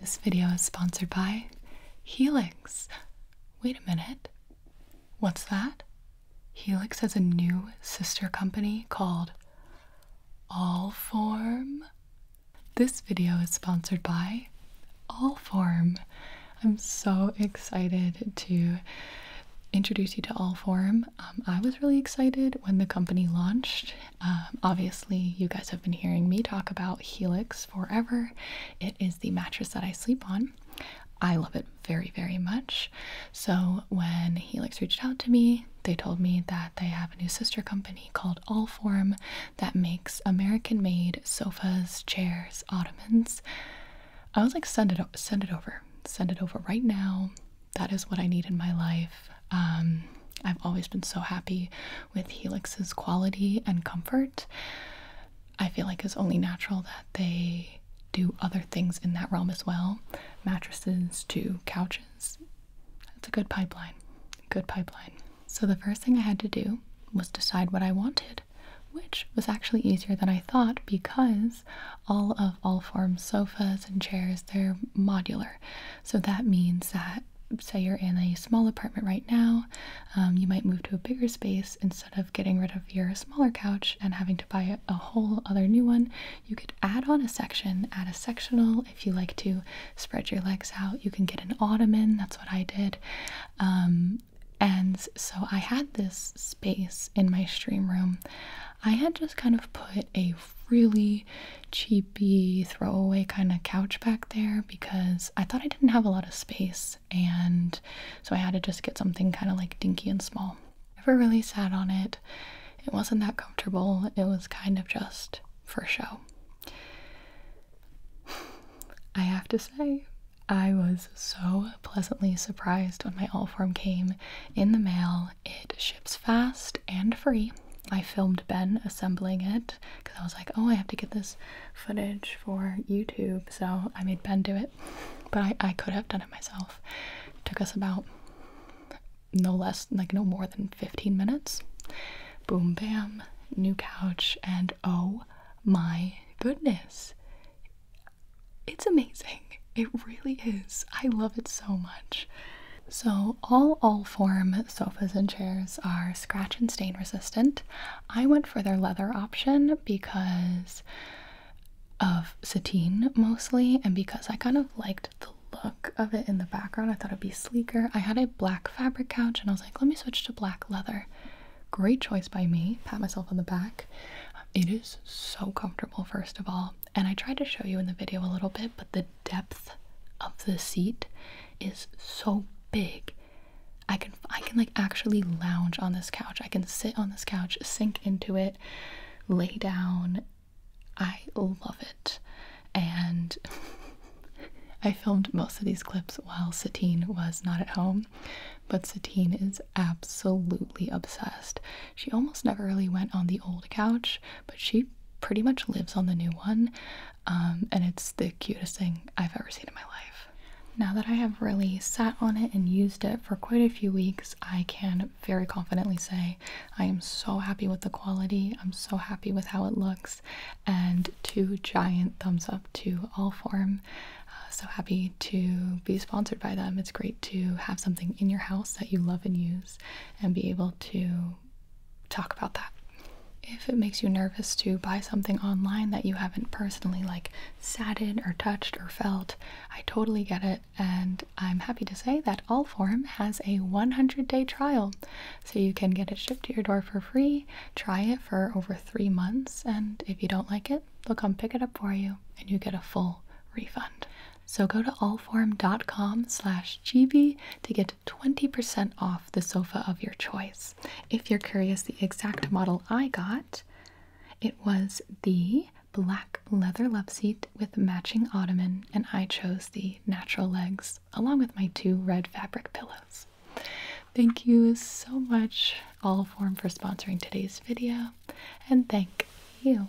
This video is sponsored by Helix. Wait a minute. What's that? Helix has a new sister company called Allform. This video is sponsored by Allform. I'm so excited to introduce you to Allform. Um, I was really excited when the company launched um, obviously, you guys have been hearing me talk about Helix forever. It is the mattress that I sleep on. I love it very, very much. So, when Helix reached out to me, they told me that they have a new sister company called Allform that makes American made sofas, chairs, ottomans. I was like, send it, send it over, send it over right now. That is what I need in my life. Um, I've always been so happy with Helix's quality and comfort. I feel like it's only natural that they do other things in that realm as well mattresses to couches. That's a good pipeline. Good pipeline. So, the first thing I had to do was decide what I wanted, which was actually easier than I thought because all of Allform sofas and chairs, they're modular. So that means that, say, you're in a small apartment right now, um, you might move to a bigger space instead of getting rid of your smaller couch and having to buy a whole other new one. You could add on a section, add a sectional if you like to spread your legs out. You can get an ottoman, that's what I did. Um, and so I had this space in my stream room. I had just kind of put a really cheapy throwaway kind of couch back there because I thought I didn't have a lot of space and so I had to just get something kind of like dinky and small. Never really sat on it. It wasn't that comfortable. It was kind of just for show. I have to say, I was so pleasantly surprised when my all form came in the mail. It ships fast and free. I filmed Ben assembling it because I was like, oh, I have to get this footage for YouTube. So I made Ben do it, but I, I could have done it myself. It took us about no less, like no more than 15 minutes. Boom, bam, new couch, and oh my goodness. It's amazing. It really is. I love it so much. So, all all form sofas and chairs are scratch and stain resistant. I went for their leather option because of sateen mostly, and because I kind of liked the look of it in the background. I thought it'd be sleeker. I had a black fabric couch, and I was like, let me switch to black leather. Great choice by me. Pat myself on the back. It is so comfortable, first of all. And I tried to show you in the video a little bit, but the depth of the seat is so big. I can I can like actually lounge on this couch. I can sit on this couch, sink into it, lay down. I love it. And I filmed most of these clips while Satine was not at home, but Satine is absolutely obsessed. She almost never really went on the old couch but she pretty much lives on the new one, um, and it's the cutest thing I've ever seen in my life. Now that I have really sat on it and used it for quite a few weeks, I can very confidently say I am so happy with the quality, I'm so happy with how it looks, and two giant thumbs up to all form. Uh, so happy to be sponsored by them. It's great to have something in your house that you love and use and be able to talk about that. If it makes you nervous to buy something online that you haven't personally like sat in or touched or felt, I totally get it and I'm happy to say that Allform has a 100-day trial. So you can get it shipped to your door for free, try it for over 3 months, and if you don't like it, they'll come pick it up for you and you get a full refund. So go to allform.com/gb to get 20% off the sofa of your choice. If you're curious, the exact model I got, it was the black leather loveseat with matching ottoman, and I chose the natural legs along with my two red fabric pillows. Thank you so much, Allform, for sponsoring today's video, and thank you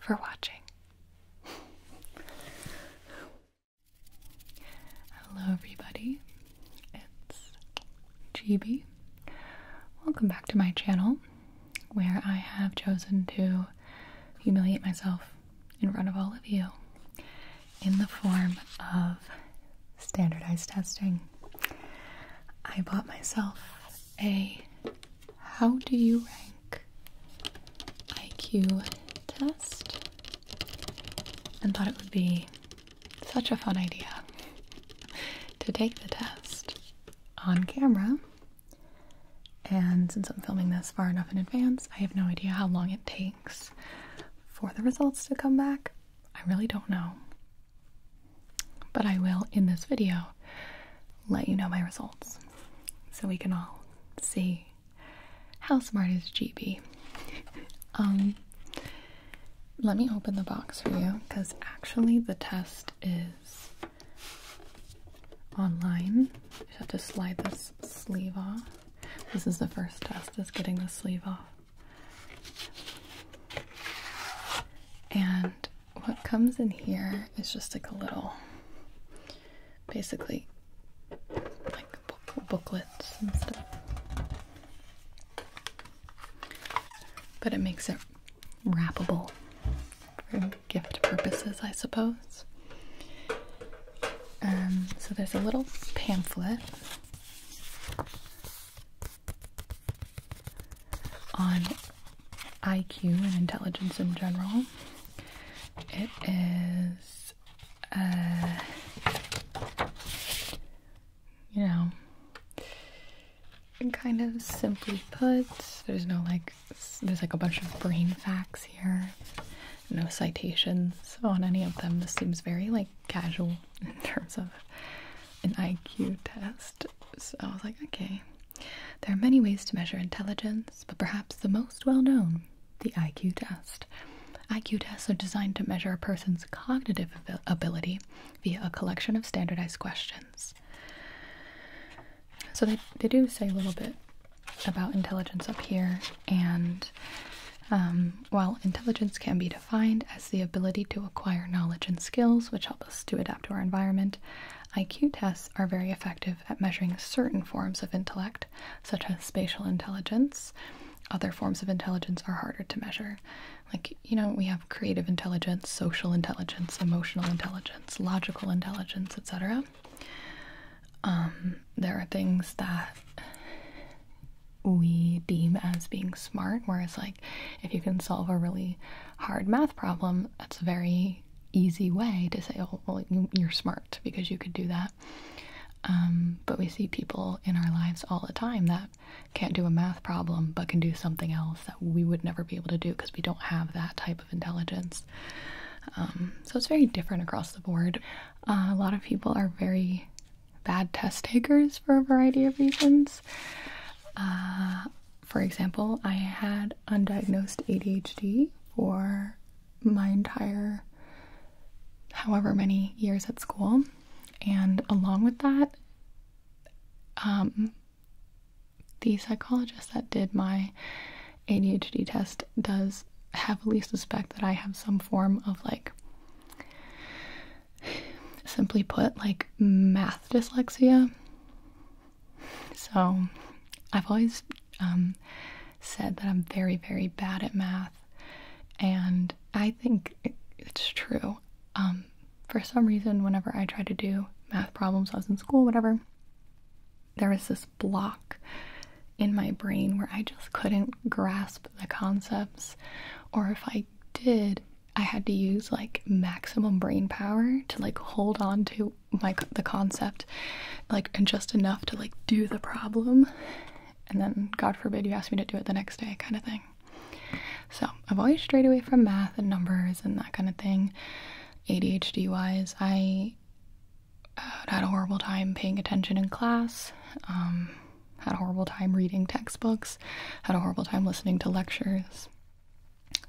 for watching. Hello, everybody. It's GB. Welcome back to my channel where I have chosen to humiliate myself in front of all of you in the form of standardized testing. I bought myself a How Do You Rank IQ test and thought it would be such a fun idea to take the test on camera. And since I'm filming this far enough in advance, I have no idea how long it takes for the results to come back. I really don't know. But I will, in this video, let you know my results so we can all see how smart is GB? Um, let me open the box for you because actually the test is online. You have to slide this sleeve off. This is the first test, is getting the sleeve off. And what comes in here is just like a little basically like booklets and stuff. But it makes it wrappable for gift purposes, I suppose. Um, so there's a little pamphlet on IQ and intelligence in general. It is uh, you know, kind of simply put, there's no like, there's like a bunch of brain facts here, no citations on any of them. This seems very like casual in terms of an IQ test. So I was like, okay. There are many ways to measure intelligence, but perhaps the most well known the IQ test. IQ tests are designed to measure a person's cognitive ability via a collection of standardized questions. So they, they do say a little bit about intelligence up here, and um, while intelligence can be defined as the ability to acquire knowledge and skills which help us to adapt to our environment, IQ tests are very effective at measuring certain forms of intellect such as spatial intelligence. Other forms of intelligence are harder to measure. Like, you know, we have creative intelligence, social intelligence, emotional intelligence, logical intelligence, etc. Um, there are things that we deem as being smart, whereas, like, if you can solve a really hard math problem, that's a very easy way to say, oh, well, you're smart because you could do that. Um, but we see people in our lives all the time that can't do a math problem but can do something else that we would never be able to do because we don't have that type of intelligence. Um, so it's very different across the board. Uh, a lot of people are very bad test takers for a variety of reasons. Uh, for example, I had undiagnosed ADHD for my entire however many years at school. And along with that, um, the psychologist that did my ADHD test does heavily suspect that I have some form of like, simply put, like math dyslexia. So I've always um, said that I'm very, very bad at math and I think it's true. Um, for some reason, whenever I tried to do math problems, I was in school, whatever, there was this block in my brain where I just couldn't grasp the concepts, or if I did, I had to use like maximum brain power to like hold on to my the concept, like and just enough to like do the problem, and then God forbid you ask me to do it the next day, kind of thing. So I've always strayed away from math and numbers and that kind of thing. ADHD wise, I uh, had a horrible time paying attention in class. Um, had a horrible time reading textbooks. Had a horrible time listening to lectures.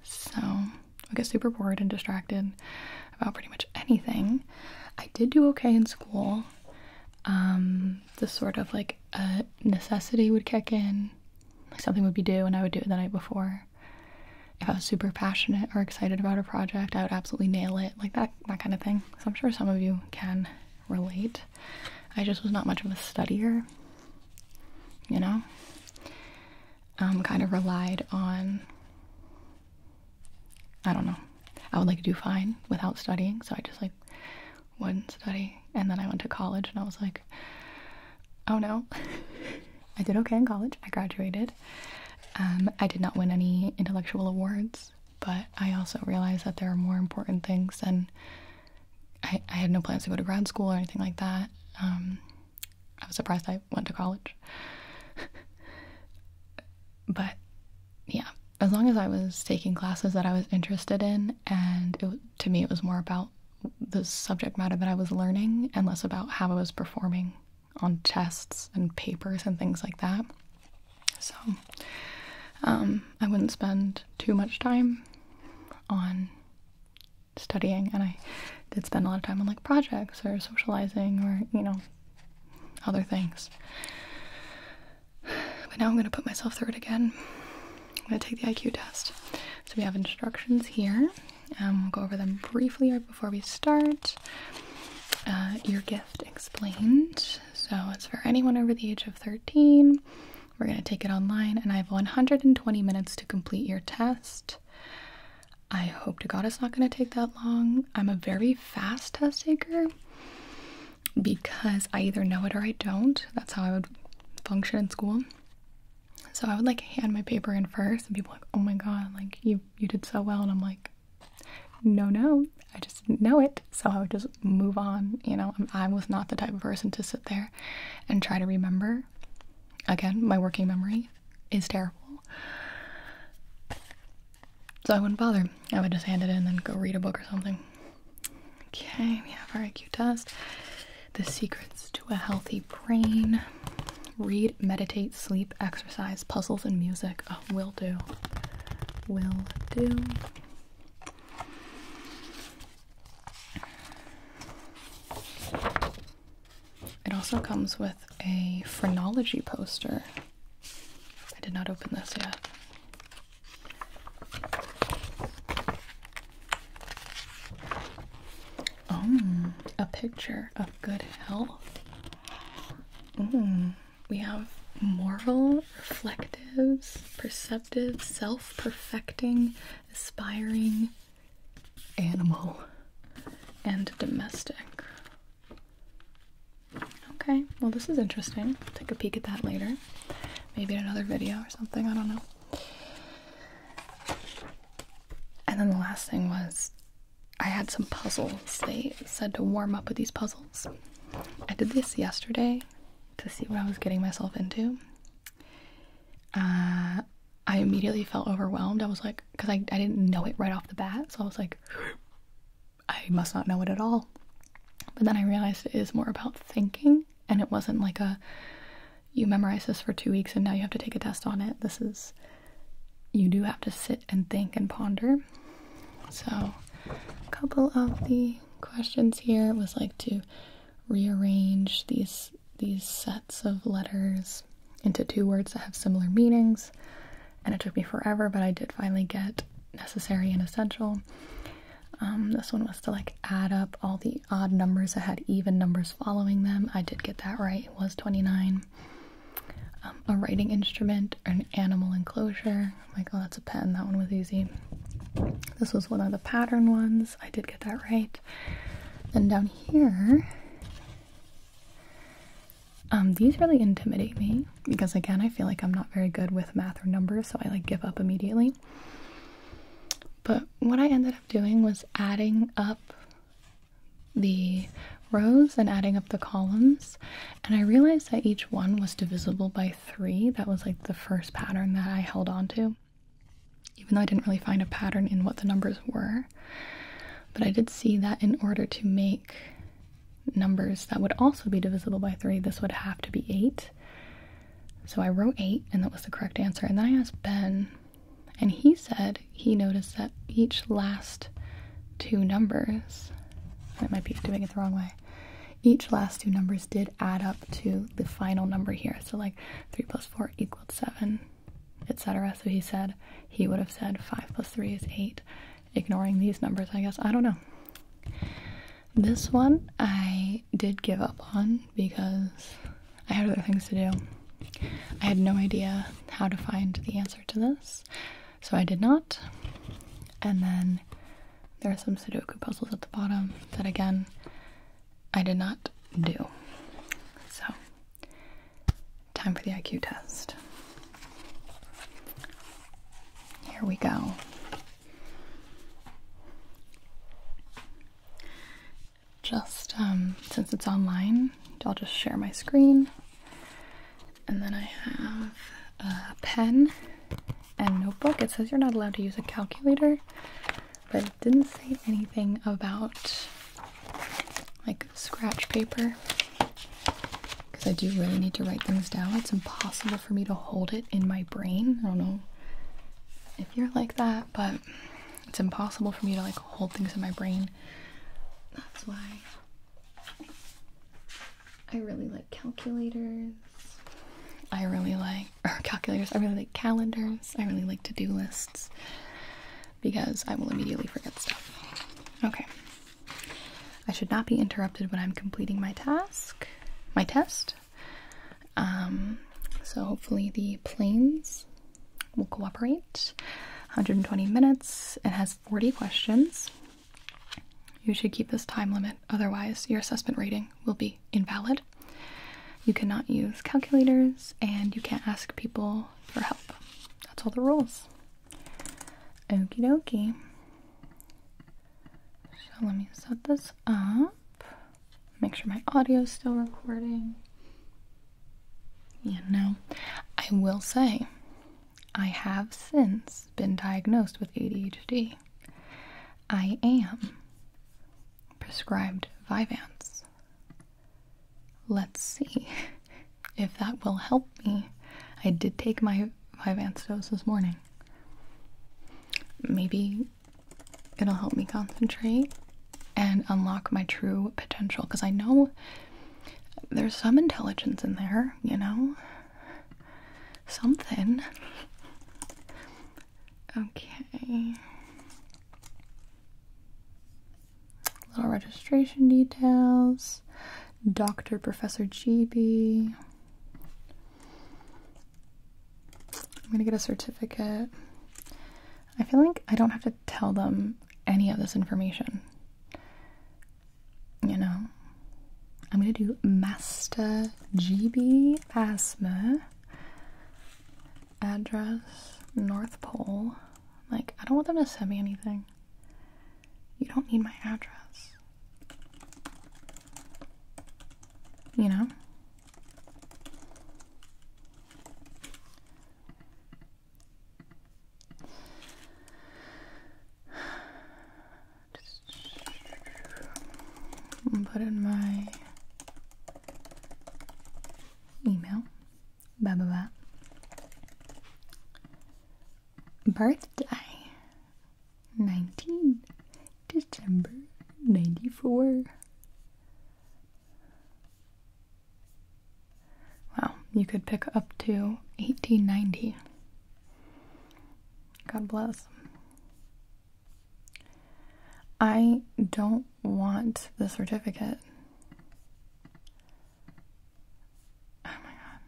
So I get super bored and distracted about pretty much anything. I did do okay in school. Um, the sort of like a necessity would kick in, like something would be due, and I would do it the night before. If I was super passionate or excited about a project, I would absolutely nail it, like that that kind of thing. So I'm sure some of you can relate. I just was not much of a studier, you know. Um, kind of relied on I don't know. I would like do fine without studying, so I just like wouldn't study. And then I went to college and I was like, oh no. I did okay in college. I graduated. Um, I did not win any intellectual awards, but I also realized that there are more important things And I, I had no plans to go to grad school or anything like that. Um, I was surprised I went to college. but yeah, as long as I was taking classes that I was interested in, and to me, it was more about the subject matter that I was learning and less about how I was performing on tests and papers and things like that. So, um, I wouldn't spend too much time on studying, and I did spend a lot of time on like projects or socializing or you know, other things. But now I'm going to put myself through it again. I'm going to take the IQ test. So we have instructions here. Um, we'll go over them briefly before we start. Uh, your gift explained. So it's for anyone over the age of 13. We're going to take it online, and I have 120 minutes to complete your test. I hope to God it's not going to take that long. I'm a very fast test taker because I either know it or I don't. That's how I would function in school. So I would like hand my paper in first, and people like, "Oh my god, like you you did so well," and I'm like, "No, no, I just know it." So I would just move on. You know, I was not the type of person to sit there and try to remember. Again, my working memory is terrible. So I wouldn't bother. I would just hand it in and go read a book or something. Okay, we have our IQ test. The secrets to a healthy brain. Read, meditate, sleep, exercise, puzzles, and music. Oh, will do. Will do. It also comes with a phrenology poster. I did not open this yet. Oh, a picture of good health. Mm, we have moral, reflective, perceptive, self perfecting, aspiring, animal, and domestic. Okay, well, this is interesting. take a peek at that later. Maybe in another video or something, I don't know. And then the last thing was I had some puzzles. They said to warm up with these puzzles. I did this yesterday to see what I was getting myself into. Uh, I immediately felt overwhelmed. I was like, because I, I didn't know it right off the bat, so I was like, I must not know it at all. But then I realized it is more about thinking, and it wasn't like a you memorize this for two weeks and now you have to take a test on it. This is you do have to sit and think and ponder. So, a couple of the questions here was like to rearrange these these sets of letters into two words that have similar meanings and it took me forever, but I did finally get necessary and essential. Um, this one was to like add up all the odd numbers that had even numbers following them. I did get that right, it was 29. Um, a writing instrument, an animal enclosure. I'm like, oh, that's a pen. That one was easy. This was one of the pattern ones. I did get that right. And down here, um, these really intimidate me because again I feel like I'm not very good with math or numbers so I like give up immediately. But what I ended up doing was adding up the rows and adding up the columns and I realized that each one was divisible by 3. That was like the first pattern that I held on to even though I didn't really find a pattern in what the numbers were. But I did see that in order to make numbers that would also be divisible by 3, this would have to be 8. So I wrote 8, and that was the correct answer. And then I asked Ben, and he said he noticed that each last two numbers, I might be doing it the wrong way, each last two numbers did add up to the final number here. So, like 3 plus 4 equals 7, etc. So he said he would have said 5 plus 3 is 8 ignoring these numbers, I guess. I don't know. This one I did give up on because I had other things to do. I had no idea how to find the answer to this, so I did not. And then there are some Sudoku puzzles at the bottom that, again, I did not do. So, time for the IQ test. Here we go. Just um, since it's online, I'll just share my screen. And then I have a pen and notebook. It says you're not allowed to use a calculator, but it didn't say anything about like scratch paper because I do really need to write things down. It's impossible for me to hold it in my brain. I don't know if you're like that, but it's impossible for me to like hold things in my brain. That's why I really like calculators. I really like or calculators. I really like calendars. I really like to-do lists because I will immediately forget stuff. Okay. I should not be interrupted when I'm completing my task, my test. Um, so hopefully the planes will cooperate. 120 minutes. It has 40 questions. You should keep this time limit, otherwise your assessment rating will be invalid. You cannot use calculators, and you can't ask people for help. That's all the rules. Okey dokey. So let me set this up. Make sure my audio is still recording. Yeah, know, I will say, I have since been diagnosed with ADHD. I am prescribed Vyvanse. Let's see if that will help me. I did take my Vyvanse dose this morning. Maybe it'll help me concentrate and unlock my true potential because I know there's some intelligence in there, you know? Something. Okay. Little registration details. Dr. Professor GB. I'm gonna get a certificate. I feel like I don't have to tell them any of this information. You know, I'm gonna do Master GB Asthma address North Pole. Like, I don't want them to send me anything. You don't need my address. You know? Just put in my email. Ba ba ba. Birthday. 19 December 94. Wow, you could pick up to 1890. God bless. I don't want the certificate. Oh my god.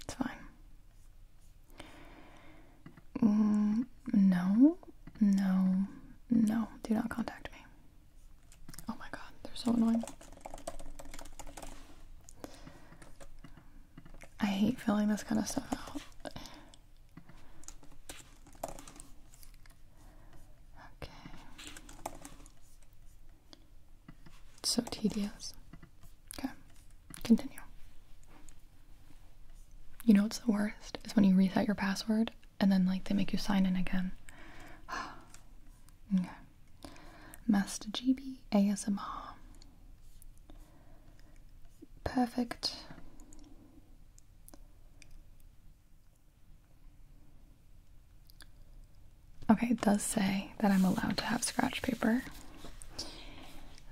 It's fine. Mm, no, no, no. Do not contact me. Oh my god, they're so annoying. I hate filling this kind of stuff out. Okay. so tedious. Okay. Continue. You know what's the worst? Is when you reset your password and then like they make you sign in again. okay. Master GB ASMR. Perfect. Okay, it does say that I'm allowed to have scratch paper.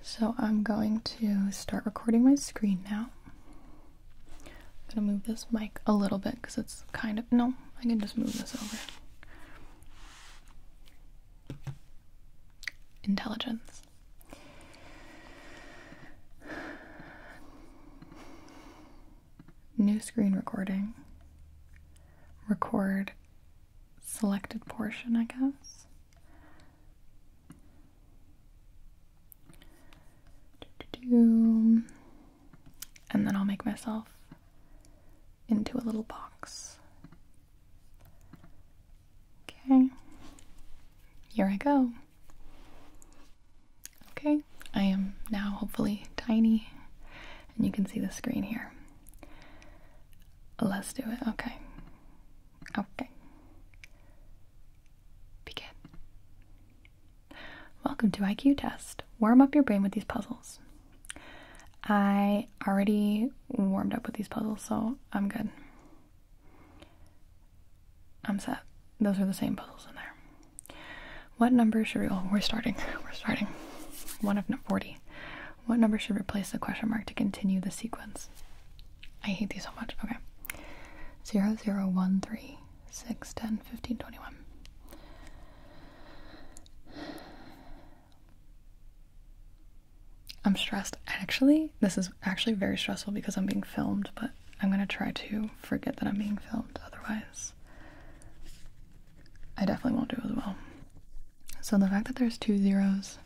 So I'm going to start recording my screen now. I'm gonna move this mic a little bit because it's kind of no, I can just move this over. Intelligence. New screen recording. Record selected portion, I guess. And then I'll make myself into a little box. Okay. Here I go. Okay. I am now hopefully tiny and you can see the screen here. Let's do it. Okay. Okay. Begin. Welcome to IQ Test. Warm up your brain with these puzzles. I already warmed up with these puzzles, so I'm good. I'm set. Those are the same puzzles in there. What number should we? Oh, we're starting. We're starting. One of 40. What number should replace the question mark to continue the sequence? I hate these so much. Okay. 0, 0, 1, 3, 6, 10, 15, 21. I'm stressed. Actually, this is actually very stressful because I'm being filmed, but I'm going to try to forget that I'm being filmed. Otherwise, I definitely won't do as well. So the fact that there's two zeros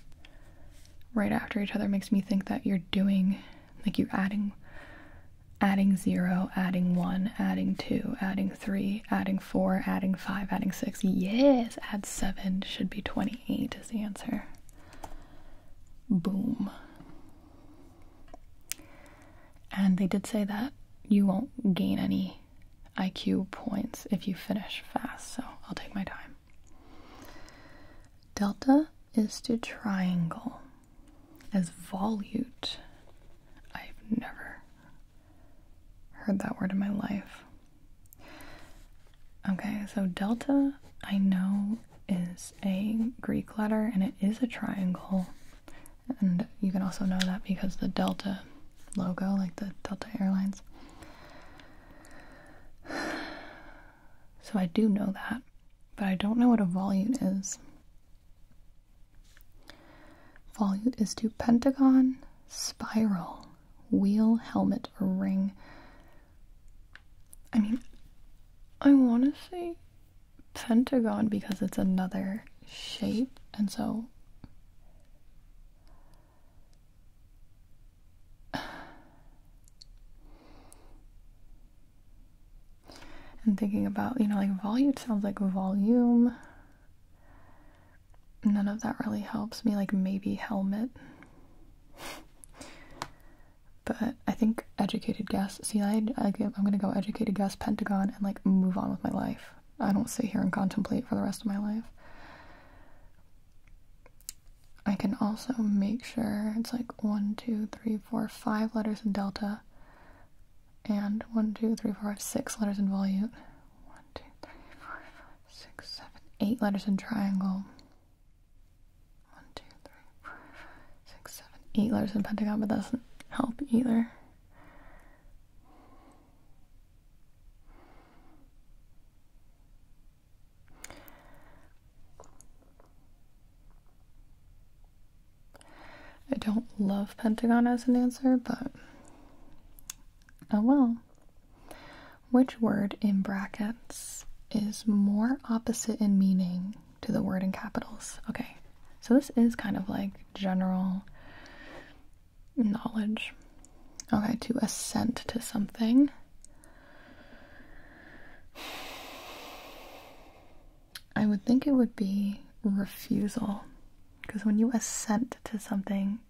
right after each other makes me think that you're doing like you're adding adding 0 adding 1 adding 2 adding 3 adding 4 adding 5 adding 6 yes add 7 should be 28 is the answer boom and they did say that you won't gain any IQ points if you finish fast so I'll take my time Delta is to triangle as volute. I've never heard that word in my life. Okay, so delta I know is a Greek letter and it is a triangle. And you can also know that because the delta logo, like the Delta Airlines. So I do know that, but I don't know what a volute is. Volute is to pentagon, spiral, wheel, helmet, ring. I mean, I want to say pentagon because it's another shape, and so I'm thinking about, you know, like volume sounds like volume. None of that really helps me, like maybe helmet. but I think educated guess. See, I, I'm gonna go educated guess, Pentagon, and like move on with my life. I don't sit here and contemplate for the rest of my life. I can also make sure it's like one, two, three, four, five letters in delta, and one, two, three, four, five, six letters in volute. One, two, three, four, five, six, seven, eight letters in triangle. One, two, three, four, five, six, seven, eight letters in pentagon, but that doesn't help either. I don't love Pentagon as an answer, but oh well. Which word in brackets is more opposite in meaning to the word in capitals? Okay, so this is kind of like general knowledge. Okay, to assent to something I would think it would be refusal. Because when you assent to something,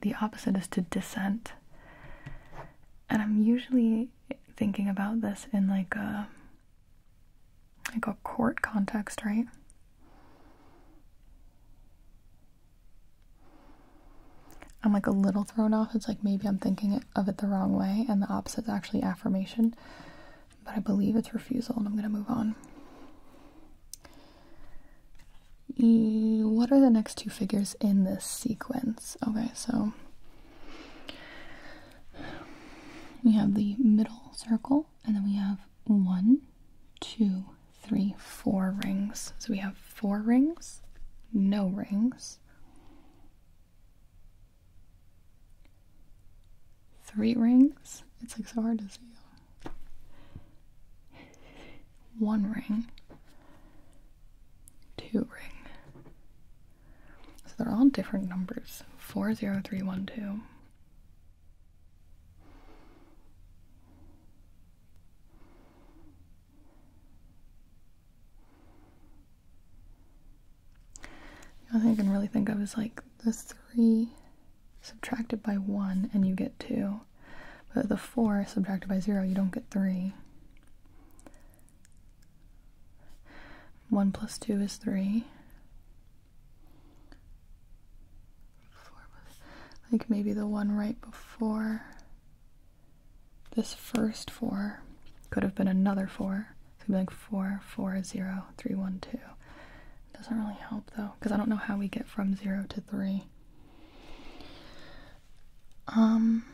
the opposite is to dissent. And I'm usually thinking about this in like a like a court context, right? I'm like a little thrown off. It's like maybe I'm thinking of it the wrong way, and the opposite is actually affirmation. But I believe it's refusal, and I'm going to move on. What are the next two figures in this sequence? Okay, so we have the middle circle, and then we have one, two, three, four rings. So we have four rings, no rings, three rings. It's like so hard to see. One ring, two ring. So they're all different numbers. 40312. The only thing I can really think of is like the 3 subtracted by 1 and you get 2. But the 4 subtracted by 0, you don't get 3. 1 plus 2 is 3. Like maybe the one right before this first four could have been another four. It could be like four, four, zero, three, one, two. It doesn't really help though, because I don't know how we get from zero to three. Um,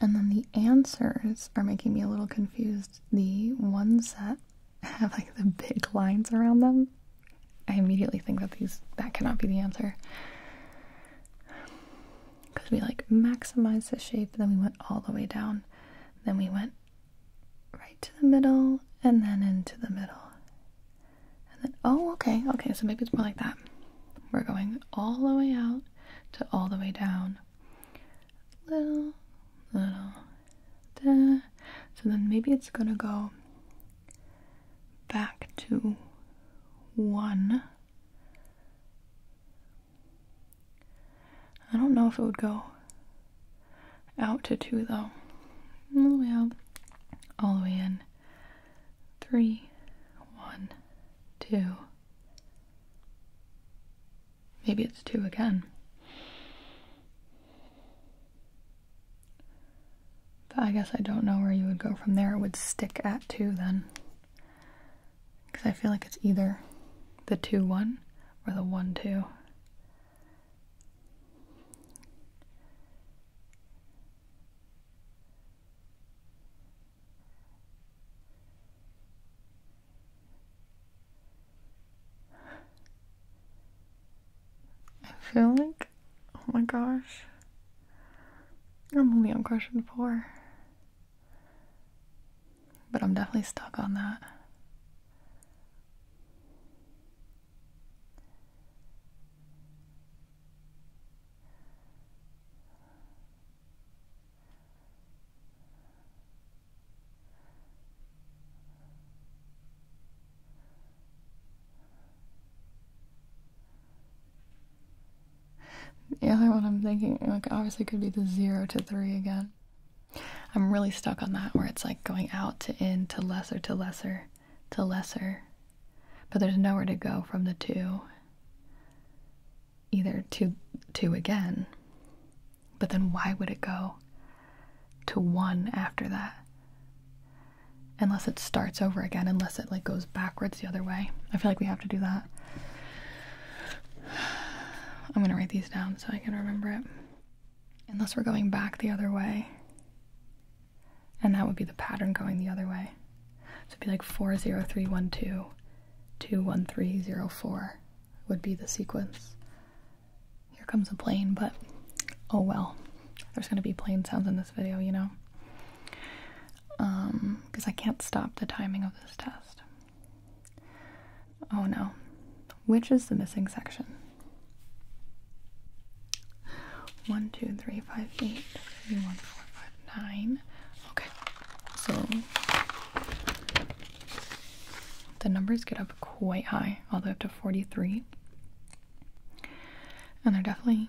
and then the answers are making me a little confused. The one set have like the big lines around them I immediately think that these that cannot be the answer. Because we like maximize the shape, then we went all the way down, then we went right to the middle, and then into the middle. And then, oh, okay, okay, so maybe it's more like that. We're going all the way out to all the way down. Little, little, So then maybe it's gonna go back to one. I don't know if it would go out to two though. All the way out, all the way in. Three, one, two. Maybe it's two again. But I guess I don't know where you would go from there. It would stick at 2 then. Because I feel like it's either the 2 1 or the 1 2. I feel like, oh my gosh, I'm only on question four. But I'm definitely stuck on that. The other one I'm thinking, like, obviously could be the 0 to 3 again. I'm really stuck on that where it's like going out to in to lesser to lesser to lesser. But there's nowhere to go from the 2. Either to 2 again. But then why would it go to 1 after that? unless it starts over again, unless it like goes backwards the other way. I feel like we have to do that. I'm gonna write these down so I can remember it. Unless we're going back the other way. And that would be the pattern going the other way. So it'd be like 40312, 21304 would be the sequence. Here comes a plane, but oh well. There's gonna be plane sounds in this video, you know? Um, because I can't stop the timing of this test. Oh no. Which is the missing section? 1, Okay, so the numbers get up quite high, all the way up to 43. And they're definitely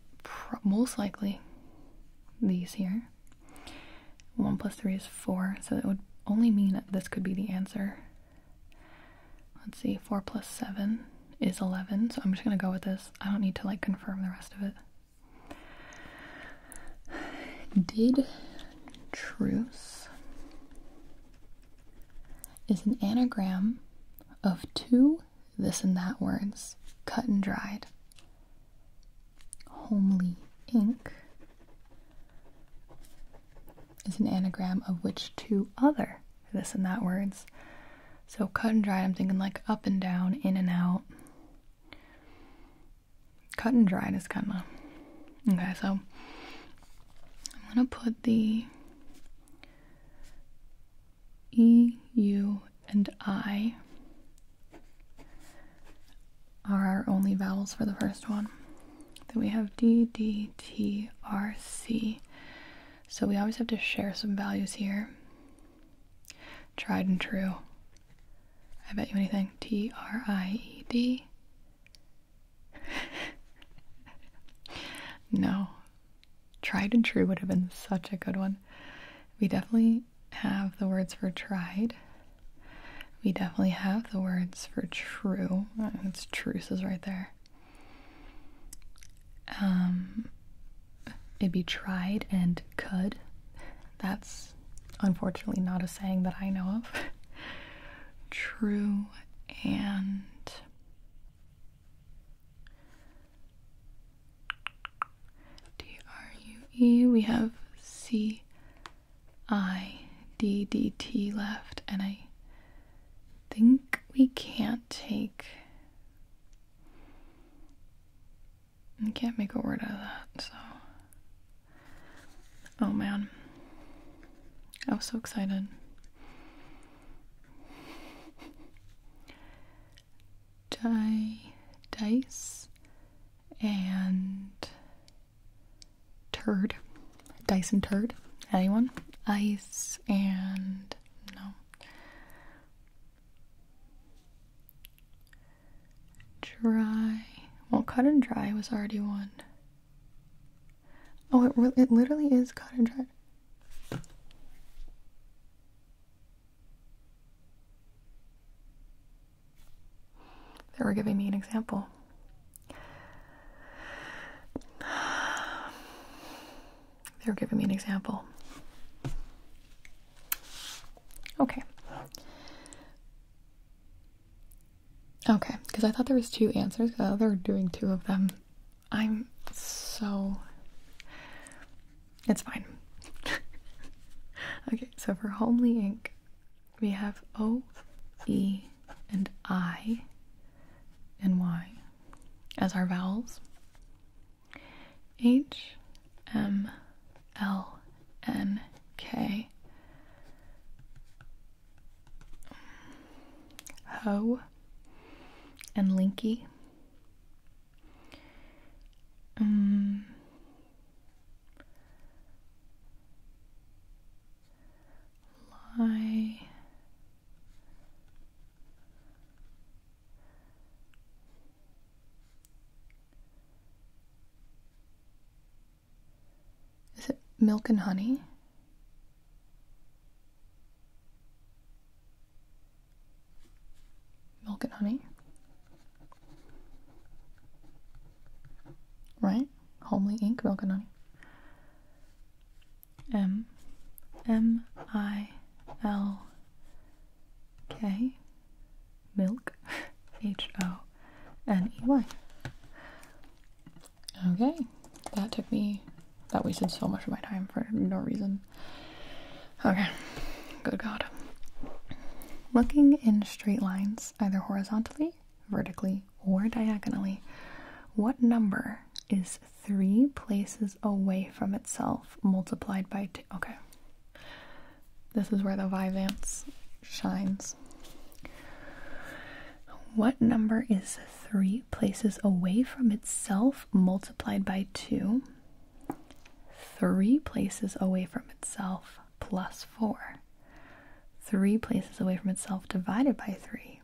most likely these here. 1 plus 3 is 4, so it would only mean that this could be the answer. Let's see, 4 plus 7 is 11, so I'm just gonna go with this. I don't need to like confirm the rest of it. Did truce is an anagram of two this and that words, cut and dried. Homely ink is an anagram of which two other this and that words. So cut and dried, I'm thinking like up and down, in and out. Cut and dried is kind of okay. So I'm gonna put the E, U, and I are our only vowels for the first one. Then we have D, D, T, R, C. So we always have to share some values here. Tried and true. I bet you anything. T, R, I, E, D. no. Tried and true would have been such a good one. We definitely have the words for tried. We definitely have the words for true. It's truce is right there. Um, it'd be tried and could. That's unfortunately not a saying that I know of. True and D R U E. We have C I D D T left, and I think we can't take. I can't make a word out of that, so. Oh man. I was so excited. Die, dice and turd. Dyson turd. Anyone? Ice and no. Dry. Well, cut and dry was already one. Oh, it, re- it literally is cut and dry. They were giving me an example. They were giving me an example. Okay. Okay, because I thought there was two answers. they're doing two of them. I'm so it's fine. okay, so for homely ink, we have O, E, and I, and Y as our vowels. H, M, L, N, K. Ho and Linky. Um, Is it milk and honey? Milk and honey. Right? Homely ink, milk and honey. M M I L K Milk H O N E Y. Okay. That took me that wasted so much of my time for no reason okay, good God. Looking in straight lines, either horizontally, vertically, or diagonally, what number is three places away from itself multiplied by two? Okay. This is where the Vivance shines. What number is three places away from itself multiplied by two three places away from itself plus four. Three places away from itself divided by three.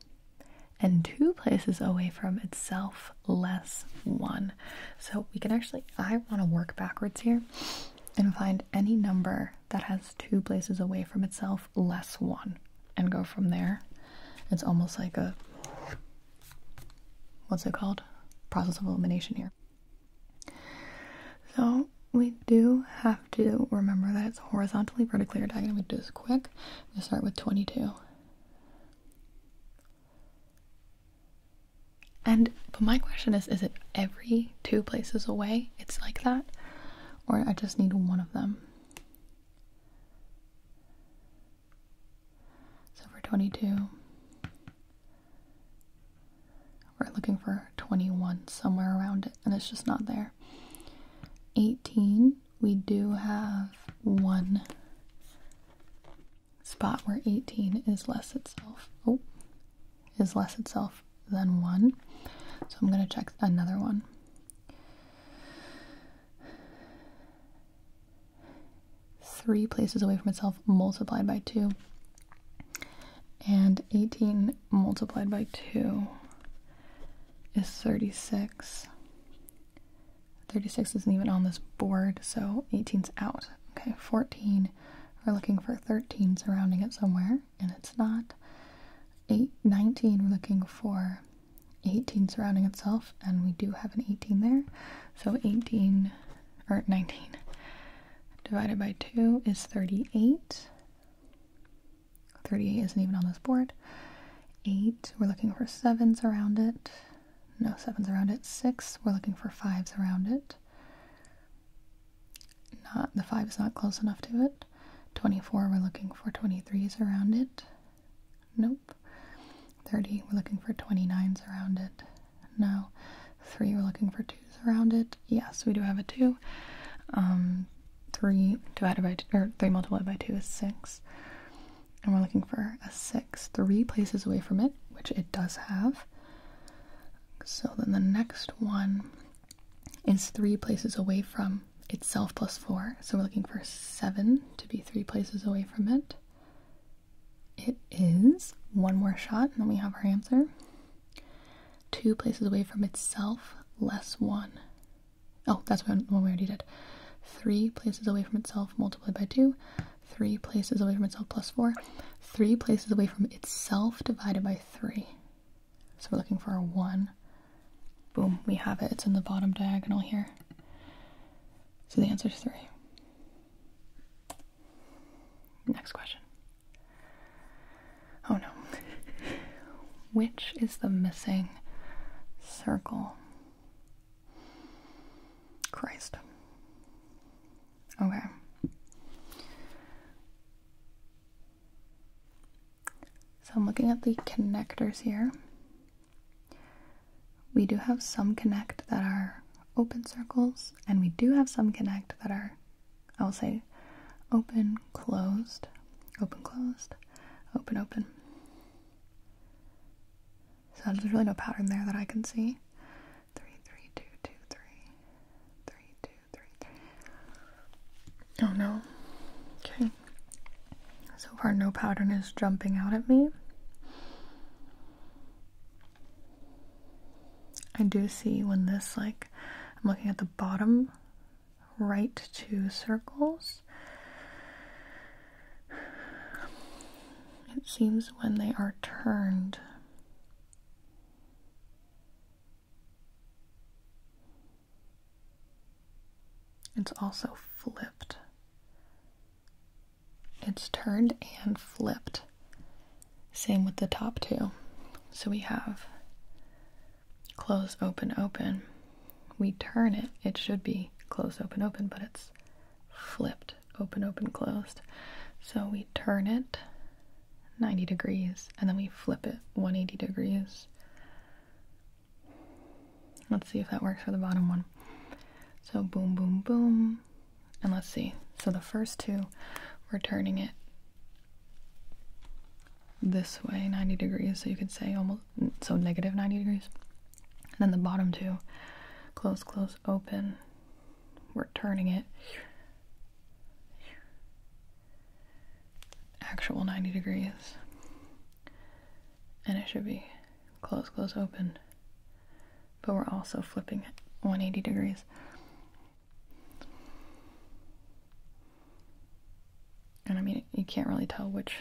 And two places away from itself less one. So we can actually, I want to work backwards here and find any number that has two places away from itself less one and go from there. It's almost like a what's it called? Process of elimination here. So we do have to remember that it's horizontally, vertically, or diagonally. We do this quick. I'm gonna start with 22. And but my question is, is it every two places away it's like that? Or I just need one of them? So for 22, we're looking for 21 somewhere around it, and it's just not there. 18, we do have one spot where 18 is less itself. Oh, is less itself than 1. So I'm going to check another one three places away from itself multiplied by 2 and 18 multiplied by 2 is 36 36 isn't even on this board so 18's out okay 14 we're looking for 13 surrounding it somewhere and it's not Eight we're looking for 18 surrounding itself and we do have an 18 there so 18 or 19 divided by 2 is 38. 38 isn't even on this board. 8, we're looking for 7s around it. No 7s around it. 6, we're looking for 5s around it. Not The 5 is not close enough to it. 24, we're looking for 23s around it. Nope. 30, we're looking for 29s around it. No, 3, we're looking for 2s around it. Yes, we do have a 2. Um, 3 divided by, two, or 3 multiplied by 2 is 6. And we're looking for a 6, 3 places away from it, which it does have. So then the next one is 3 places away from itself plus 4. So we're looking for 7 to be 3 places away from it. It is one more shot, and then we have our answer. Two places away from itself, less one. Oh, that's one, we already did. Three places away from itself multiplied by two. Three places away from itself plus four. Three places away from itself divided by three. So we're looking for a one. Boom, we have it. It's in the bottom diagonal here. So the answer is three. Next question. Oh no. Which is the missing circle? Christ. Okay. So I'm looking at the connectors here. We do have some connect that are open circles, and we do have some connect that are, I will say, open, closed, open, closed, open, open. So there's really no pattern there that I can see. Three, three, two, two, three, three, two, three, three. Oh no. Okay. So far, no pattern is jumping out at me. I do see when this, like, I'm looking at the bottom right two circles. It seems when they are turned. It's also flipped. It's turned and flipped. Same with the top two. So we have close, open, open. We turn it, it should be close, open, open, but it's flipped, open, open, closed. So we turn it 90 degrees and then we flip it 180 degrees. Let's see if that works for the bottom one. So boom, boom, boom, and let's see. So the first two, we're turning it this way 90 degrees. So you could say almost, so negative 90 degrees. And then the bottom two, close, close, open. We're turning it actual 90 degrees. And it should be close, close, open but we're also flipping it 180 degrees. And I mean, you can't really tell which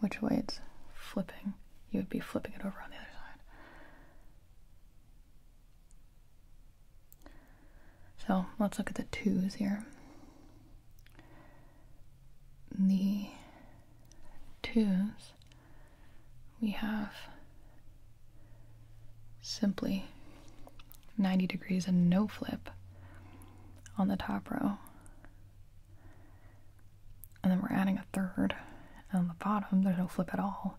which way it's flipping. You would be flipping it over on the other side. So let's look at the twos here. The twos we have simply 90 degrees and no flip on the top row. And then we're adding a third and on the bottom, there's no flip at all.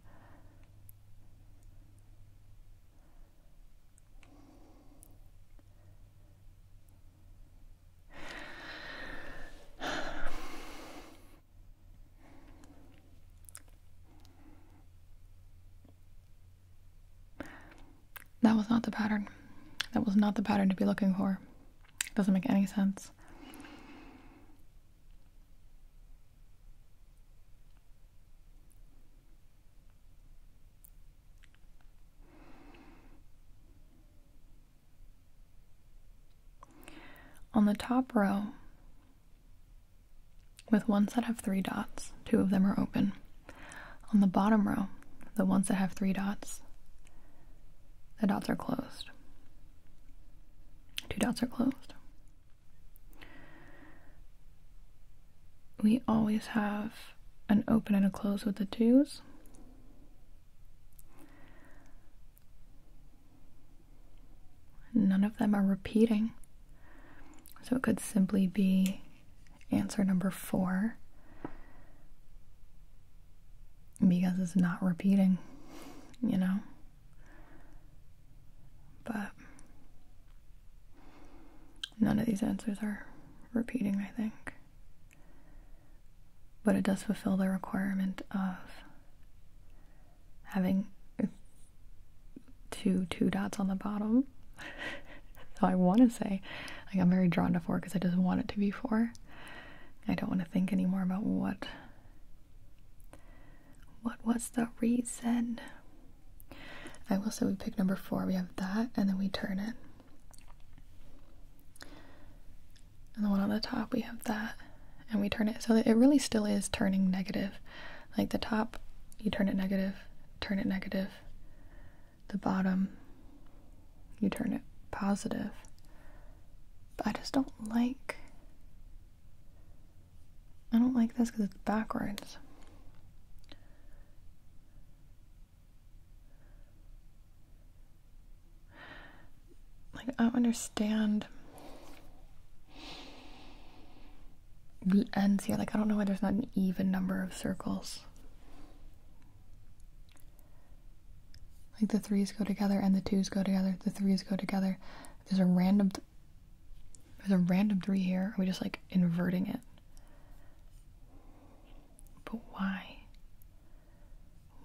That was not the pattern. That was not the pattern to be looking for. It doesn't make any sense. On the top row, with ones that have three dots, two of them are open. On the bottom row, the ones that have three dots, the dots are closed. Two dots are closed. We always have an open and a close with the twos. None of them are repeating. So it could simply be answer number four because it's not repeating, you know? But none of these answers are repeating, I think. But it does fulfill the requirement of having two two dots on the bottom. so I want to say, I'm very drawn to four because I just want it to be four. I don't want to think anymore about what what was the reason. I will say we pick number four. We have that, and then we turn it and the one on the top we have that and we turn it so it really still is turning negative like the top you turn it negative turn it negative the bottom you turn it positive but i just don't like i don't like this because it's backwards like, I don't understand the ends here. Like, I don't know why there's not an even number of circles. Like, the threes go together and the twos go together. The threes go together. There's a random... there's a random three here. Are we just, like, inverting it? But why?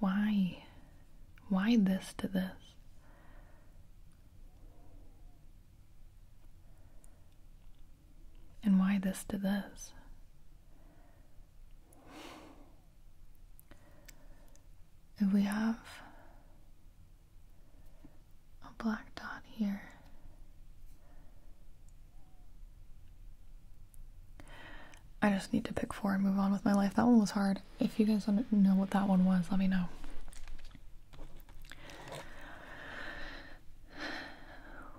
Why? Why this to this? And why this to this? If we have a black dot here, I just need to pick four and move on with my life. That one was hard. If you guys want to know what that one was, let me know.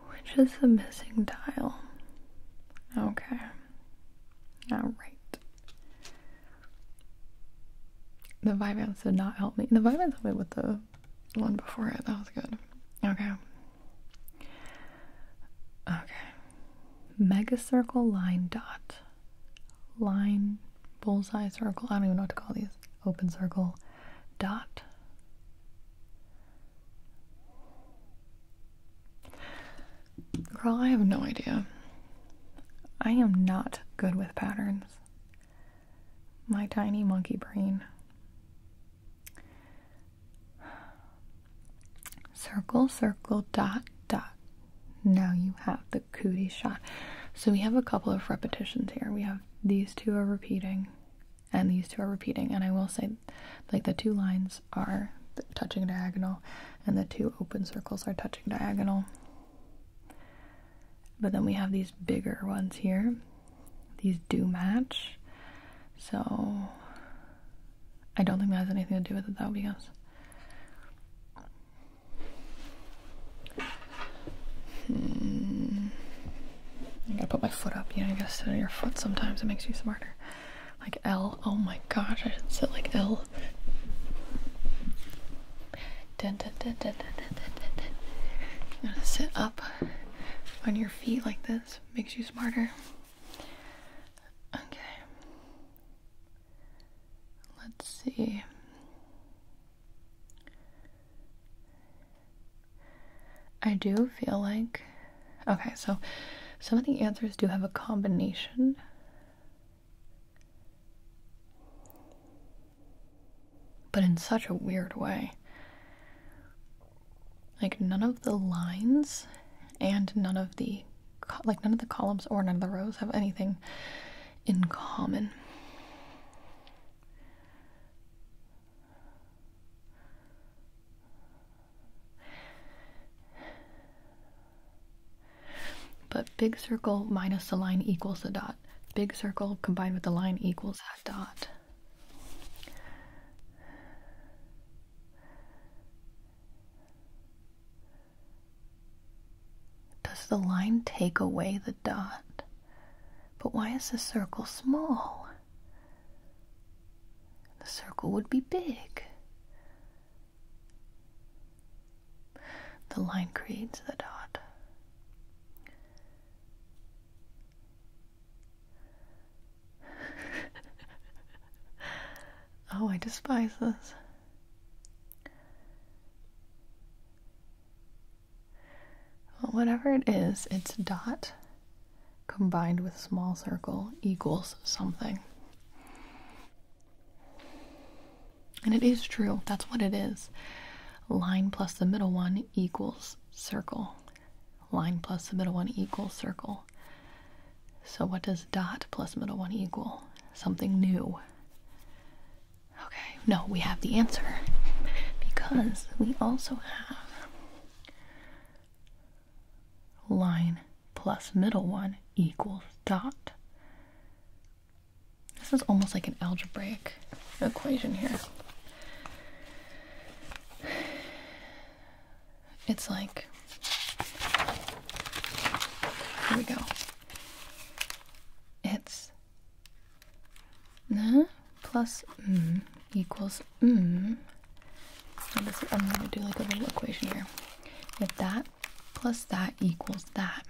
Which is the missing tile? Okay. Alright. The Vivance did not help me. The Vivance helped me with the one before it. That was good. Okay. Okay. Mega circle line dot line, bullseye, circle. I don't even know what to call these. Open circle, dot. Girl, I have no idea. I am not good with patterns. My tiny monkey brain. Circle, circle, dot, dot. Now you have the cootie shot. So we have a couple of repetitions here. We have these two are repeating and these two are repeating. And I will say, like, the two lines are touching diagonal and the two open circles are touching diagonal. But then we have these bigger ones here. These do match. So I don't think that has anything to do with it though because Hmm. I gotta put my foot up. You know, you gotta sit on your foot sometimes. It makes you smarter. Like L. Oh my gosh, I sit like L. Dun, to sit up on your feet like this. Makes you smarter. Okay. Let's see. I do feel like. Okay, so some of the answers do have a combination. But in such a weird way. Like, none of the lines and none of the. Like, none of the columns or none of the rows have anything in common. But big circle minus the line equals the dot. Big circle combined with the line equals that dot. Does the line take away the dot? But why is the circle small? The circle would be big. The line creates the dot. oh, I despise this. Well, whatever it is, its dot combined with small circle equals something. And it is true, that's what it is. Line plus the middle one equals circle. Line plus the middle one equals circle. So what does dot plus middle one equal? Something new. Okay, no, we have the answer because we also have line plus middle one equals dot. This is almost like an algebraic equation here. It's like, here we go. It's na plus m equals m. I'm going to do like a little equation here. If that plus that equals that.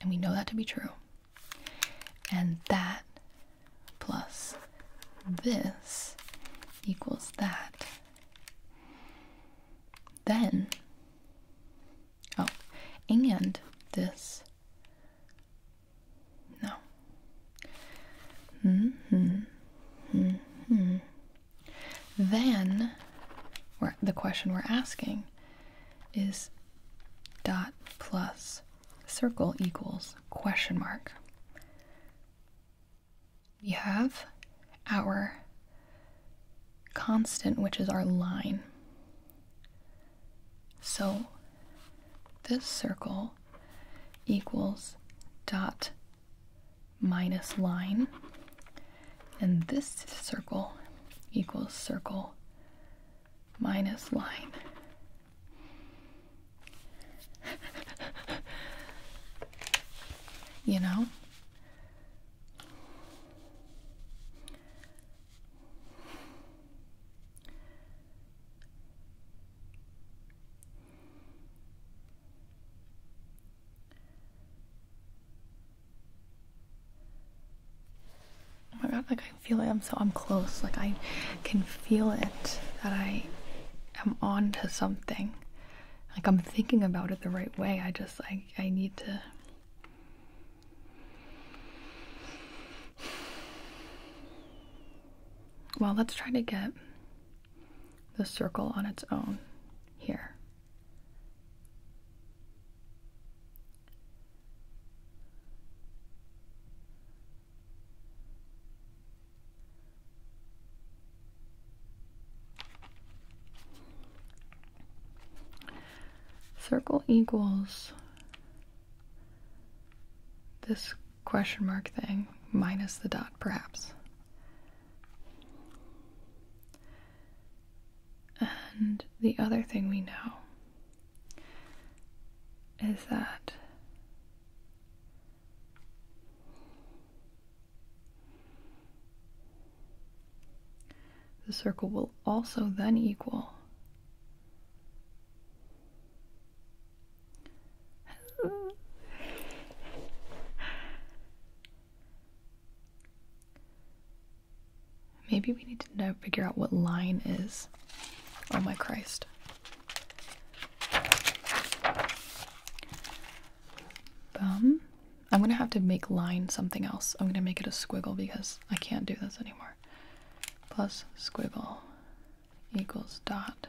And we know that to be true. And that plus this equals that. Then, oh, and this. No. Mm hmm. Mm hmm. Then, the question we're asking is dot plus circle equals question mark we have our constant, which is our line. So this circle equals dot minus line, and this circle equals circle minus line. you know? Oh my god, like I feel it. I'm so I'm close. Like I can feel it that I am onto something like I'm thinking about it the right way. I just I I need to Well, let's try to get the circle on its own here. Circle equals this question mark thing minus the dot, perhaps. And the other thing we know is that the circle will also then equal Maybe we need to now figure out what line is. Oh my Christ bum. I'm gonna have to make line something else. I'm gonna make it a squiggle because I can't do this anymore. Plus squiggle equals dot.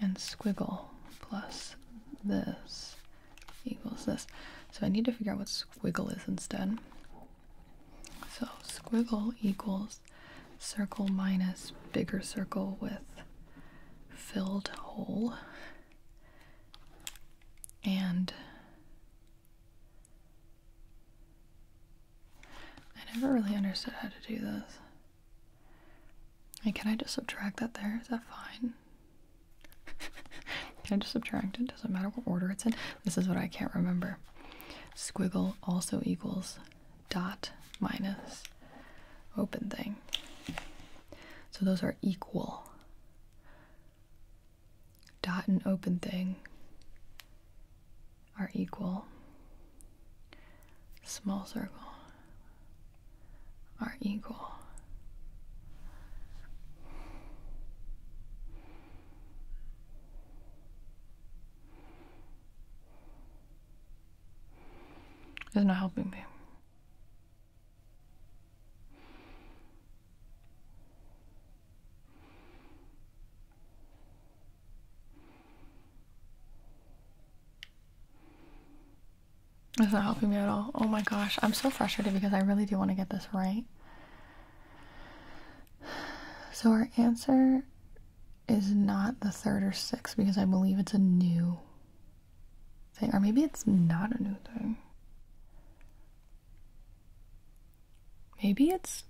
And squiggle plus this equals this. So I need to figure out what squiggle is instead. So squiggle equals circle minus bigger circle with filled hole and I never really understood how to do this. can I just subtract that there? Is that fine? can I just subtract it? Doesn't matter what order it's in. This is what I can't remember. Squiggle also equals dot minus open thing. So those are equal. Dot and open thing are equal. Small circle are equal. It's not helping me. That's not helping me at all. Oh my gosh, I'm so frustrated because I really do want to get this right. So our answer is not the third or sixth because I believe it's a new thing, or maybe it's not a new thing. Maybe it's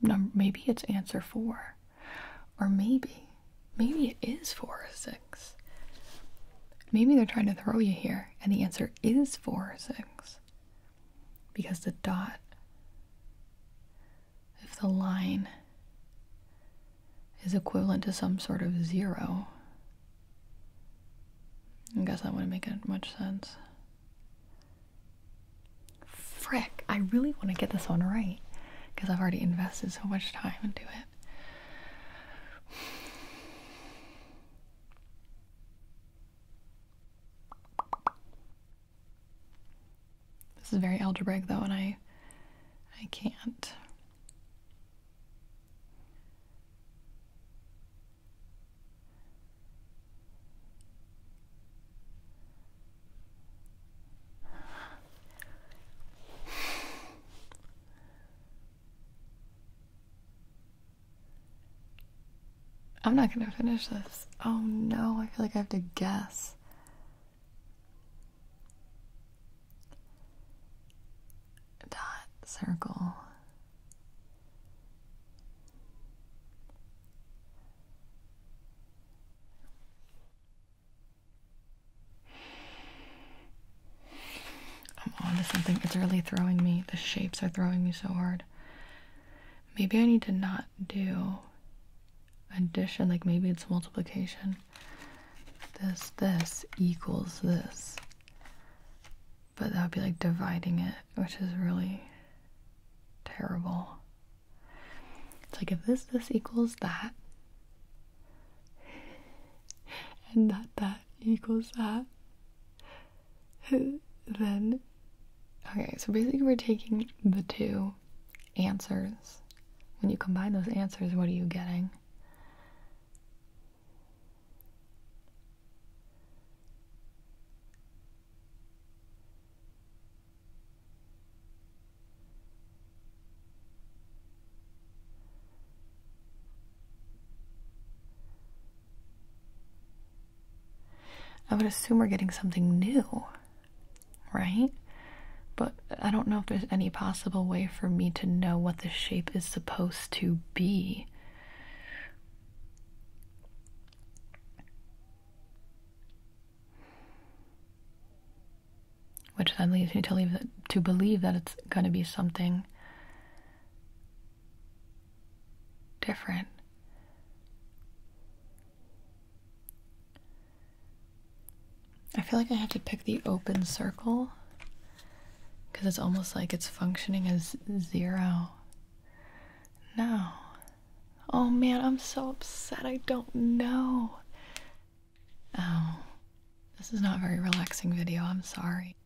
num- maybe it's answer four, or maybe maybe it is four or six. Maybe they're trying to throw you here, and the answer is four or six because the dot, if the line is equivalent to some sort of zero. I guess that wouldn't make it much sense. Frick, I really want to get this one right because I've already invested so much time into it. This is very algebraic though and I I can't I'm not gonna finish this. Oh no, I feel like I have to guess dot circle I'm on something. It's really throwing me. The shapes are throwing me so hard. Maybe I need to not do addition. Like maybe it's multiplication this, this equals this. But that would be like dividing it, which is really terrible. It's like if this, this equals that, and that, that equals that, then. Okay, so basically, we're taking the two answers. When you combine those answers, what are you getting? I would assume we're getting something new, right? But I don't know if there's any possible way for me to know what the shape is supposed to be. Which then leads me to believe that it's going to be something different. I feel like I have to pick the open circle because it's almost like it's functioning as zero. No. Oh man, I'm so upset. I don't know. Oh, this is not a very relaxing video. I'm sorry.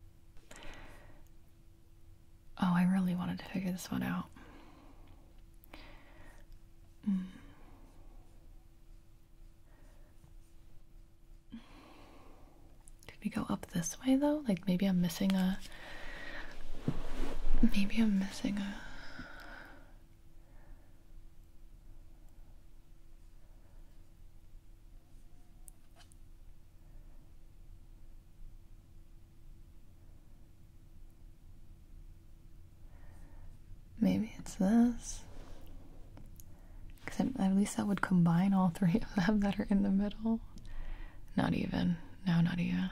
Oh, I really wanted to figure this one out. Mm. Could we go up this way though? Like maybe I'm missing a. Maybe I'm missing a. Maybe it's this. Because at least that would combine all three of them that are in the middle. Not even. No, not even.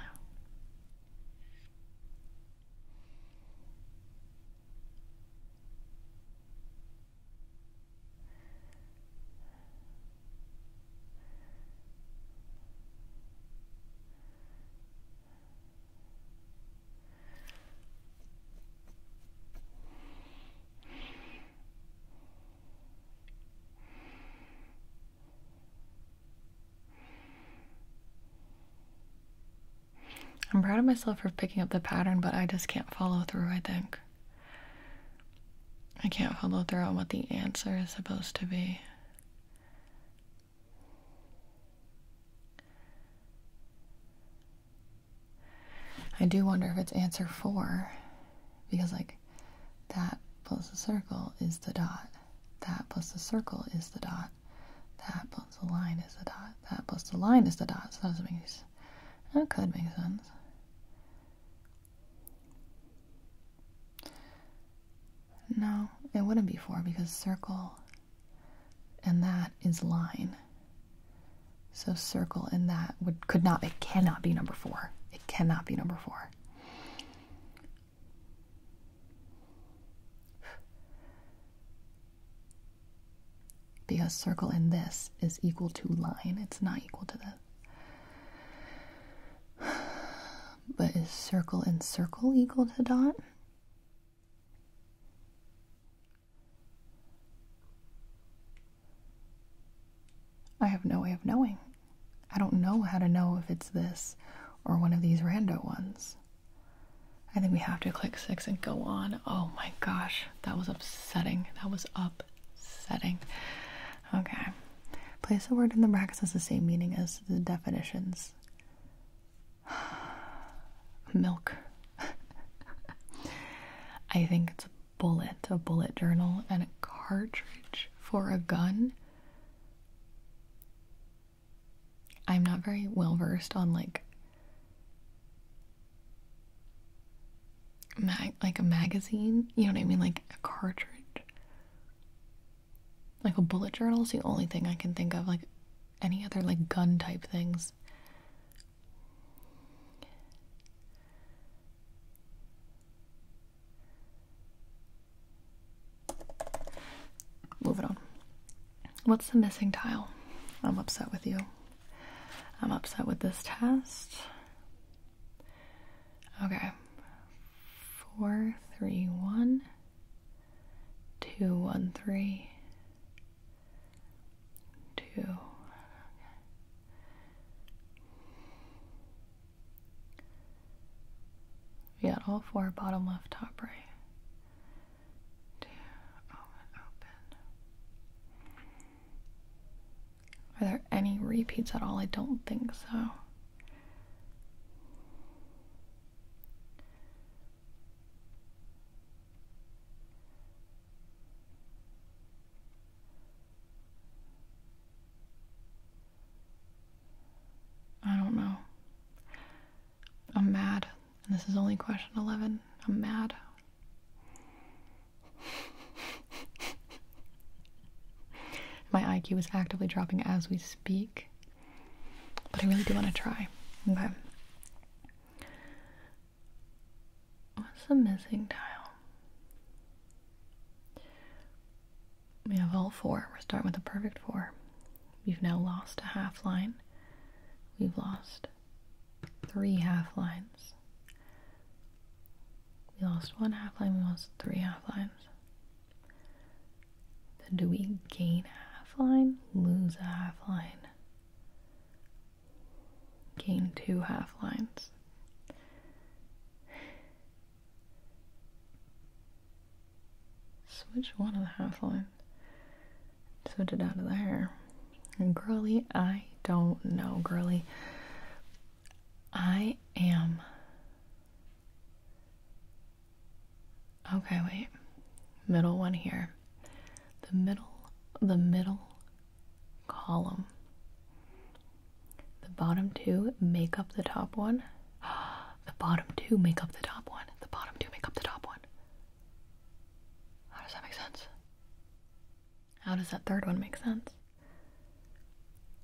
I'm proud of myself for picking up the pattern, but I just can't follow through, I think. I can't follow through on what the answer is supposed to be. I do wonder if it's answer four, because like that plus the circle is the dot, that plus the circle is the dot, that plus the line is the dot, that plus the line is the dot. So that doesn't make sense. could make sense. No, it wouldn't be four because circle and that is line. So circle in that would could not it cannot be number four. It cannot be number four. Because circle in this is equal to line. It's not equal to this. But is circle in circle equal to dot? I have no way of knowing. I don't know how to know if it's this or one of these rando ones. I think we have to click six and go on. Oh my gosh, that was upsetting. That was upsetting. Okay. Place a word in the brackets has the same meaning as the definitions. Milk. I think it's a bullet, a bullet journal, and a cartridge for a gun. I'm not very well versed on like mag like a magazine, you know what I mean? Like a cartridge. Like a bullet journal is the only thing I can think of. Like any other like gun type things Move it on. What's the missing tile? I'm upset with you. I'm upset with this test. Okay. Four, three, one, two, one, three, two, okay. We got all four bottom left, top right. Two, open, open. Are there any repeats at all? I don't think so. I don't know. I'm mad. And this is only question 11. I'm mad. My IQ is actively dropping as we speak. But I really do want to try. Okay. What's the missing tile? We have all four. We're starting with a perfect four. We've now lost a half line. We've lost three half lines. We lost one half line, we lost three half lines. Then do we gain a half line? Lose a half line? Gain two half lines. Switch one of the half lines. Switch it out of there. And girly, I don't know, girly. I am. Okay, wait. Middle one here. The middle, the middle column. The bottom two make up the top one. The bottom two make up the top one. The bottom two make up the top one. How does that make sense? How does that third one make sense?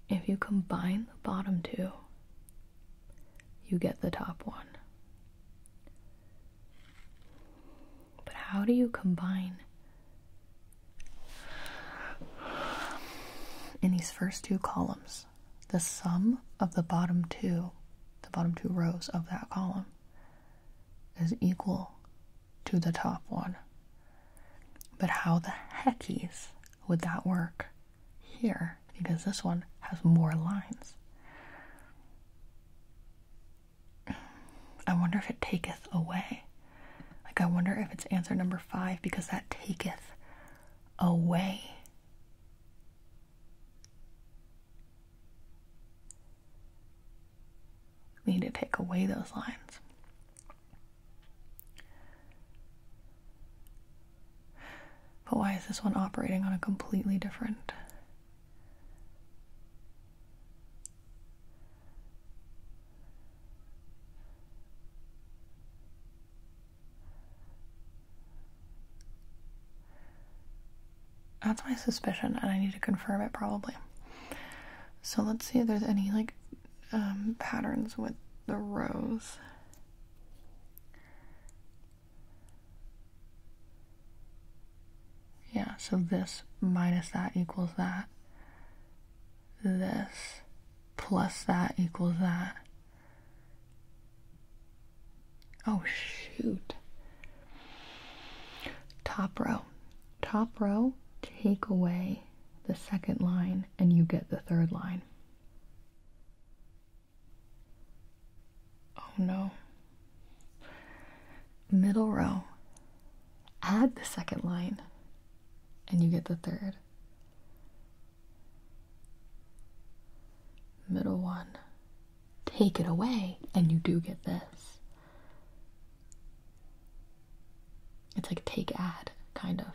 If you combine the bottom two, you get the top one. But how do you combine? In these first two columns, the sum of the bottom two, the bottom two rows of that column, is equal to the top one. But how the heckies would that work here? Because this one has more lines. I wonder if it taketh away. Like, I wonder if it's answer number five because that taketh away. We need to take away those lines. But why is this one operating on a completely different that's my suspicion, and I need to confirm it probably. So let's see if there's any like um, patterns with the rows. Yeah, so this minus that equals that. This plus that equals that. Oh, shoot. Top row. Top row, take away the second line and you get the third line. Oh no. Middle row, add the second line and you get the third. Middle one. Take it away and you do get this. It's like take add, kind of.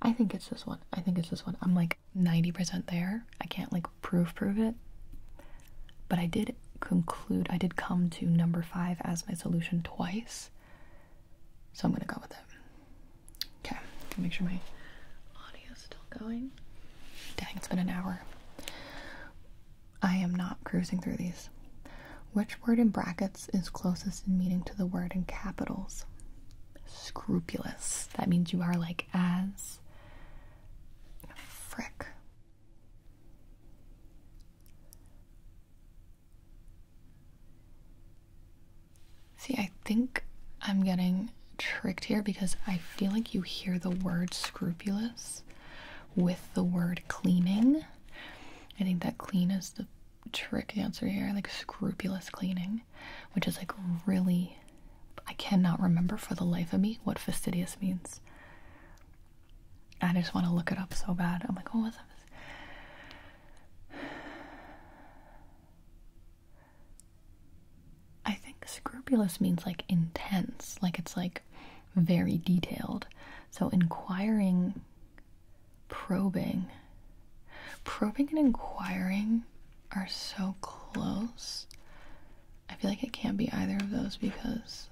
I think it's this one. I think it's this one. I'm like 90% there. I can't like proof prove it. But I did conclude, I did come to number five as my solution twice. So I'm gonna go with it. Okay, make sure my audio is still going. Dang, it's been an hour. I am not cruising through these. Which word in brackets is closest in meaning to the word in capitals? Scrupulous. That means you are like as. Frick. See, I think I'm getting tricked here because I feel like you hear the word scrupulous with the word cleaning. I think that clean is the trick answer here, like scrupulous cleaning, which is like really. I cannot remember for the life of me what fastidious means. I just want to look it up so bad. I'm like, oh, what was that? I think scrupulous means like intense, like it's like very detailed. So inquiring, probing, probing and inquiring are so close. I feel like it can't be either of those because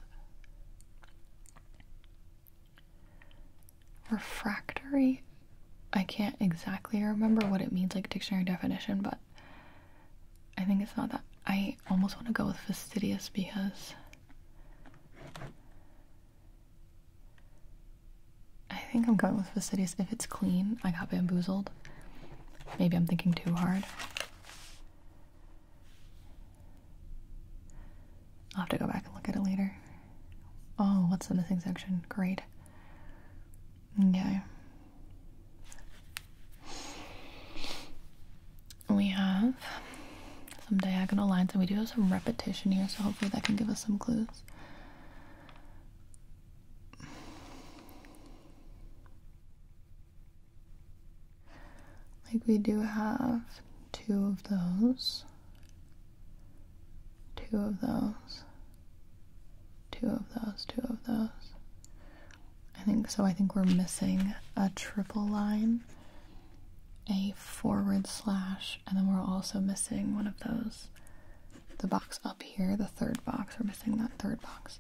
Refractory? I can't exactly remember what it means, like dictionary definition, but I think it's not that. I almost want to go with fastidious because I think I'm going with fastidious. If it's clean, I got bamboozled. Maybe I'm thinking too hard. I'll have to go back and look at it later. Oh, what's the missing section? Great. Okay. We have some diagonal lines, and we do have some repetition here, so hopefully that can give us some clues. Like, we do have two of those, two of those, two of those, two of those. I think so. I think we're missing a triple line, a forward slash, and then we're also missing one of those. The box up here, the third box, we're missing that third box.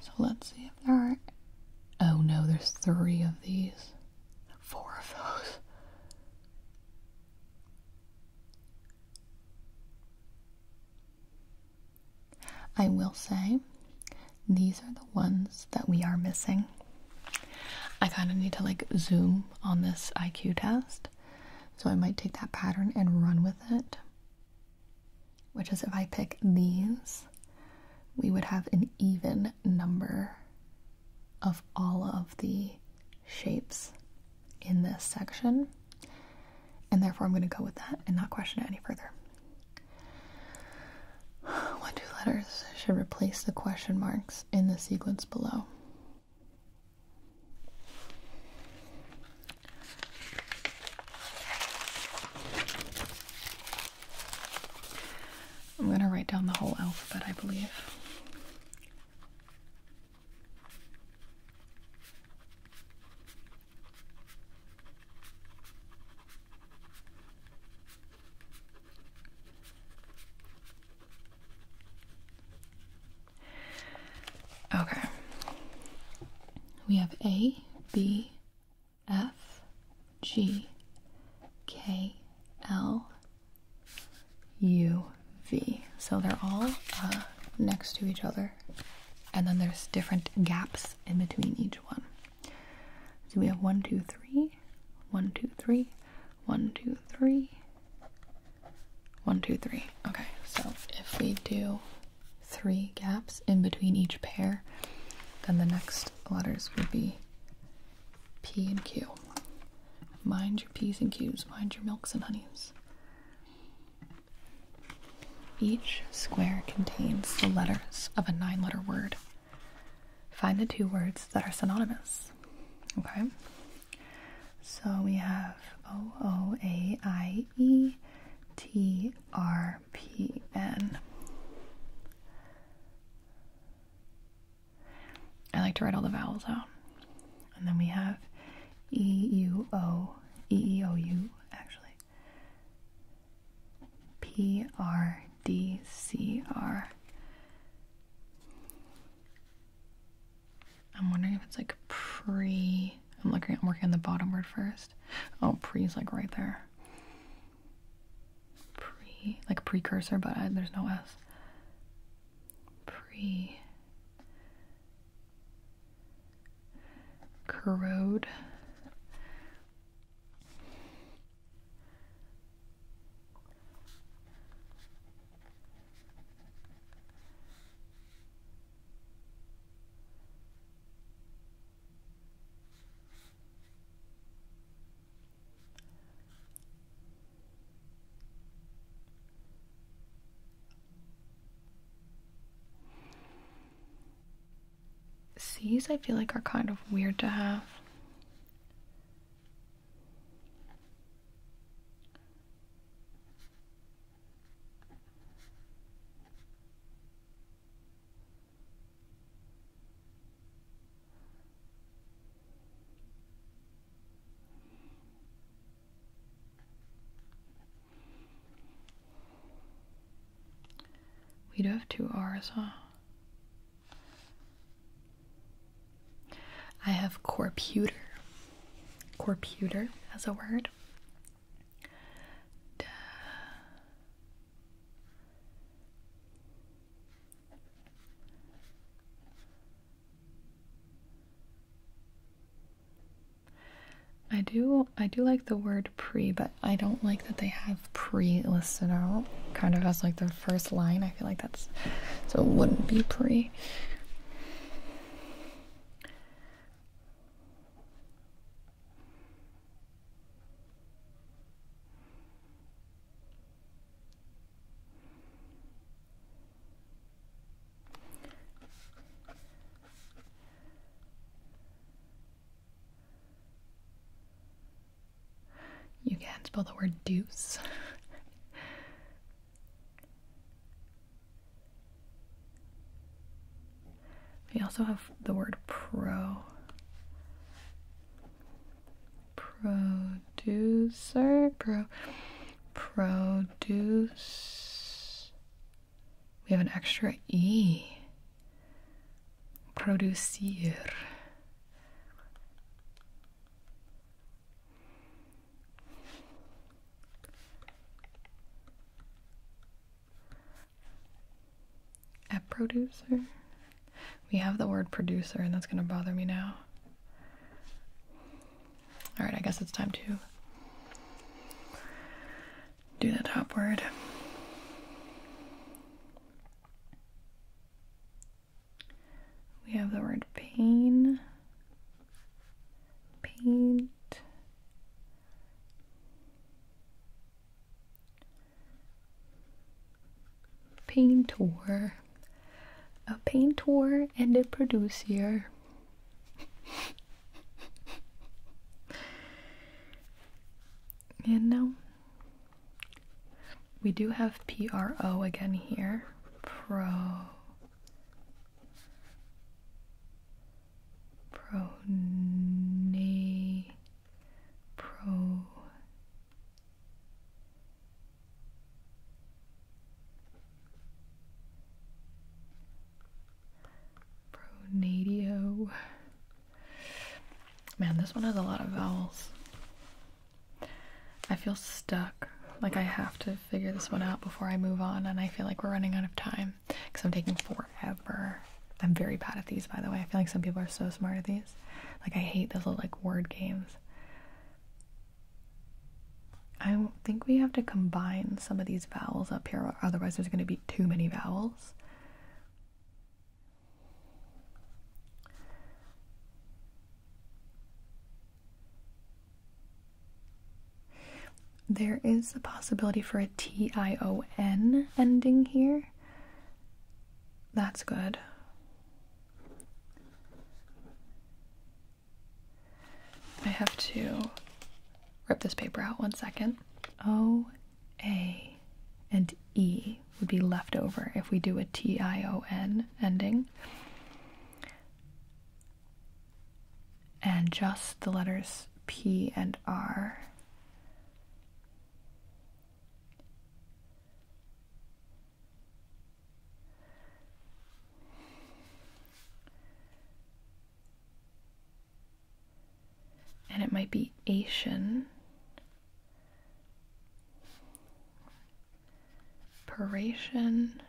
So let's see if there are. Oh no, there's three of these four of those. I will say these are the ones that we are missing. I kind of need to like zoom on this IQ test. So I might take that pattern and run with it. Which is if I pick these, we would have an even number of all of the shapes in this section, and therefore I'm going to go with that and not question it any further. What two letters should replace the question marks in the sequence below? I'm going to write down the whole alphabet, I believe. Okay. We have A, B, F G K L U V. So they're all uh, next to each other, and then there's different gaps in between each one. So we have one, two, three, one, two, three, one, two, three, one, two, three. Okay, so if we do three gaps in between each pair, then the next letters would be P and Q. Mind your P's and Q's, mind your milks and honeys. Each square contains the letters of a nine letter word. Find the two words that are synonymous. Okay? So we have O O A I E T R P N. I like to write all the vowels out. And then we have E U O E E O U actually. P R D C R. I'm wondering if it's like pre I'm looking I'm working on the bottom word first. Oh pre's like right there pre like precursor, but there's no S. Pre corrode. C's I feel like are kind of weird to have. We do have two R's, huh? I have corputer, corputer as a word. I do I do like the word pre, but I don't like that they have pre listed out kind of as like the first line. I feel like that's so it wouldn't be pre. You can't spell the word deuce. we also have the word pro producer pro produce we have an extra e producir a producer we have the word producer, and that's going to bother me now. Alright, I guess it's time to do the top word. We have the word pain, paint, painter, a painter and a producer. and now we do have PRO again here. Pro. Pro. Pro. Pronadio. Man, this one has a lot of vowels. I feel stuck. Like I have to figure this one out before I move on, and I feel like we're running out of time because I'm taking forever. I'm very bad at these, by the way. I feel like some people are so smart at these. Like I hate those little like word games. I think we have to combine some of these vowels up here, otherwise, there's going to be too many vowels. There is a possibility for a T I O N ending here. That's good. I have to rip this paper out one second. O, A, and E would be left over if we do a T I O N ending. And just the letters P and R. And it might be Asian. peration,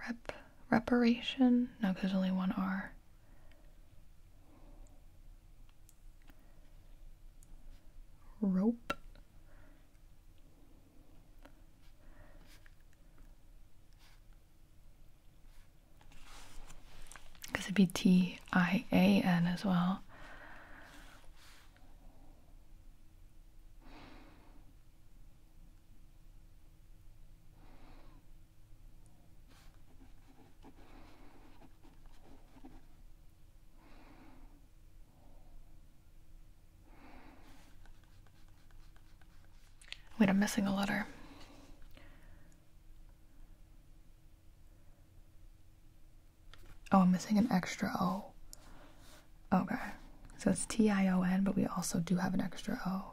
Rep. Reparation. No, there's only one R rope because it'd be T I A N as well. Wait, I'm missing a letter. Oh, I'm missing an extra O. Okay. So it's T I O N, but we also do have an extra O.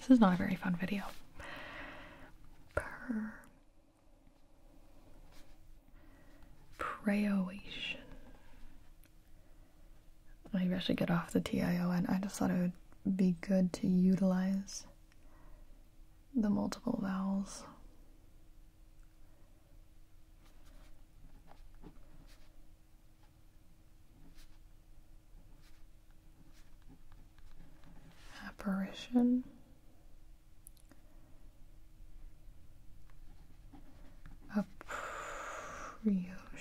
This is not a very fun video. Per Praoation. Maybe I should get off the TIO, and I just thought it would be good to utilize the multiple vowels. Apparition. Appriotion.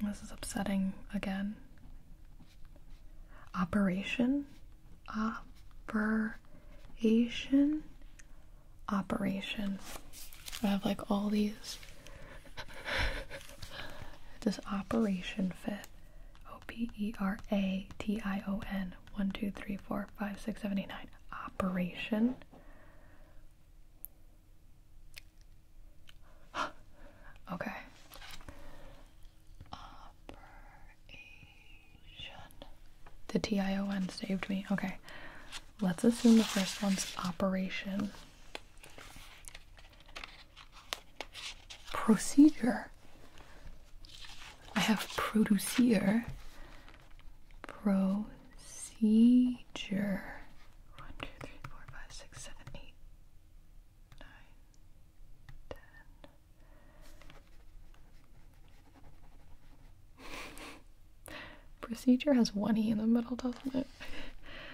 This is upsetting again. Operation? Operation? Operation. I have like all these. this operation fit. O P E R A T I O N. Operation. One, two, three, four, five, six, seven, eight, nine. Operation. okay. Operation. The T I O N saved me. Okay. Let's assume the first one's operation. Procedure. I have produce here. Procedure. Procedure has one E in the middle, doesn't it?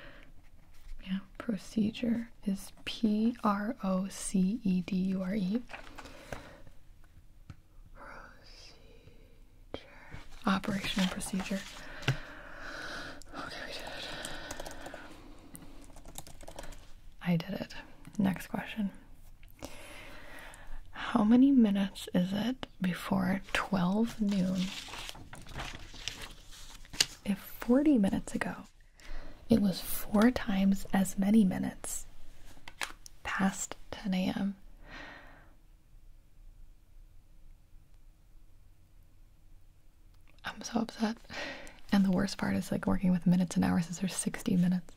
yeah, procedure is P R O C E D U R E. Operation procedure. Okay, we did it. I did it. Next question. How many minutes is it before 12 noon? If 40 minutes ago it was four times as many minutes past 10 a.m., I'm so upset. And the worst part is like working with minutes and hours is there's 60 minutes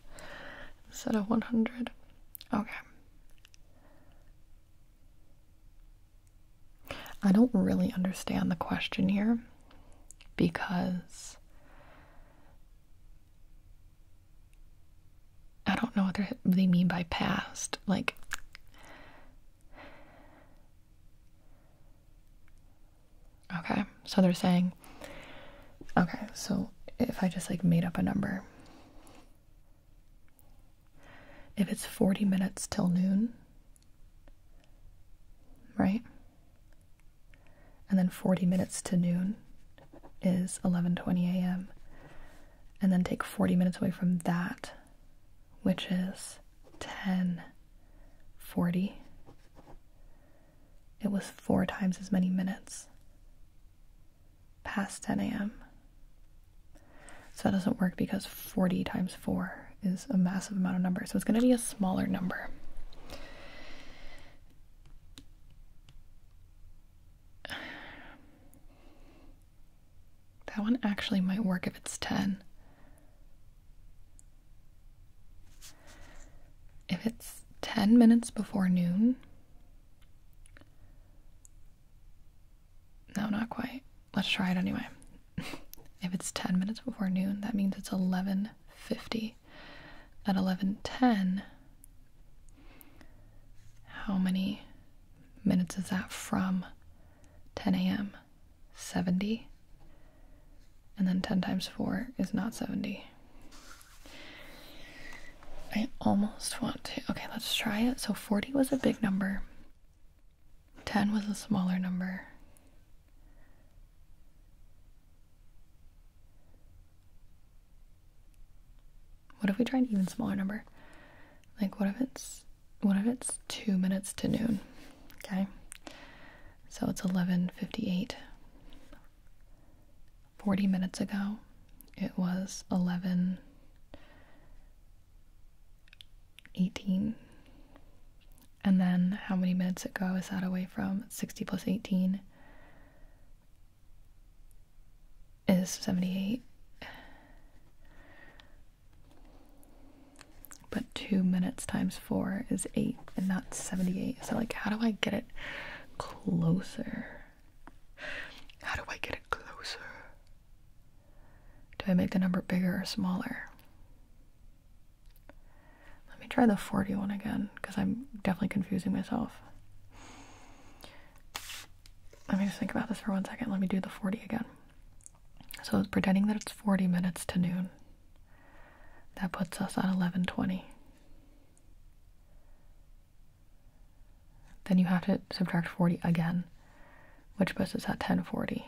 instead of 100. Okay. I don't really understand the question here because I don't know what they mean by past. Like, okay, so they're saying, okay, so if I just like made up a number, if it's 40 minutes till noon, right? And then 40 minutes to noon, is 11:20 a.m. and then take 40 minutes away from that which is 10:40 it was four times as many minutes past 10 a.m. So that doesn't work because 40 times 4 is a massive amount of numbers. So it's going to be a smaller number. That one actually might work if it's 10. If it's 10 minutes before noon. No, not quite. Let's try it anyway. if it's 10 minutes before noon, that means it's 11:50. At 11:10, how many minutes is that from 10 a.m.? 70. And then 10 times 4 is not 70. I almost want to. Okay, let's try it. So 40 was a big number, 10 was a smaller number. What if we try an even smaller number? Like what if it's what if it's two minutes to noon? Okay. So it's eleven fifty eight. Forty minutes ago it was eleven eighteen. And then how many minutes ago is that away from? Sixty plus eighteen is 78. But 2 minutes times 4 is 8, and not 78. So, like, how do I get it closer? How do I get it closer? Do I make the number bigger or smaller? Let me try the 41 again, because I'm definitely confusing myself. Let me just think about this for one second. Let me do the 40 again. So pretending that it's 40 minutes to noon. That puts us at 1120. Then you have to subtract 40 again, which puts us at 1040.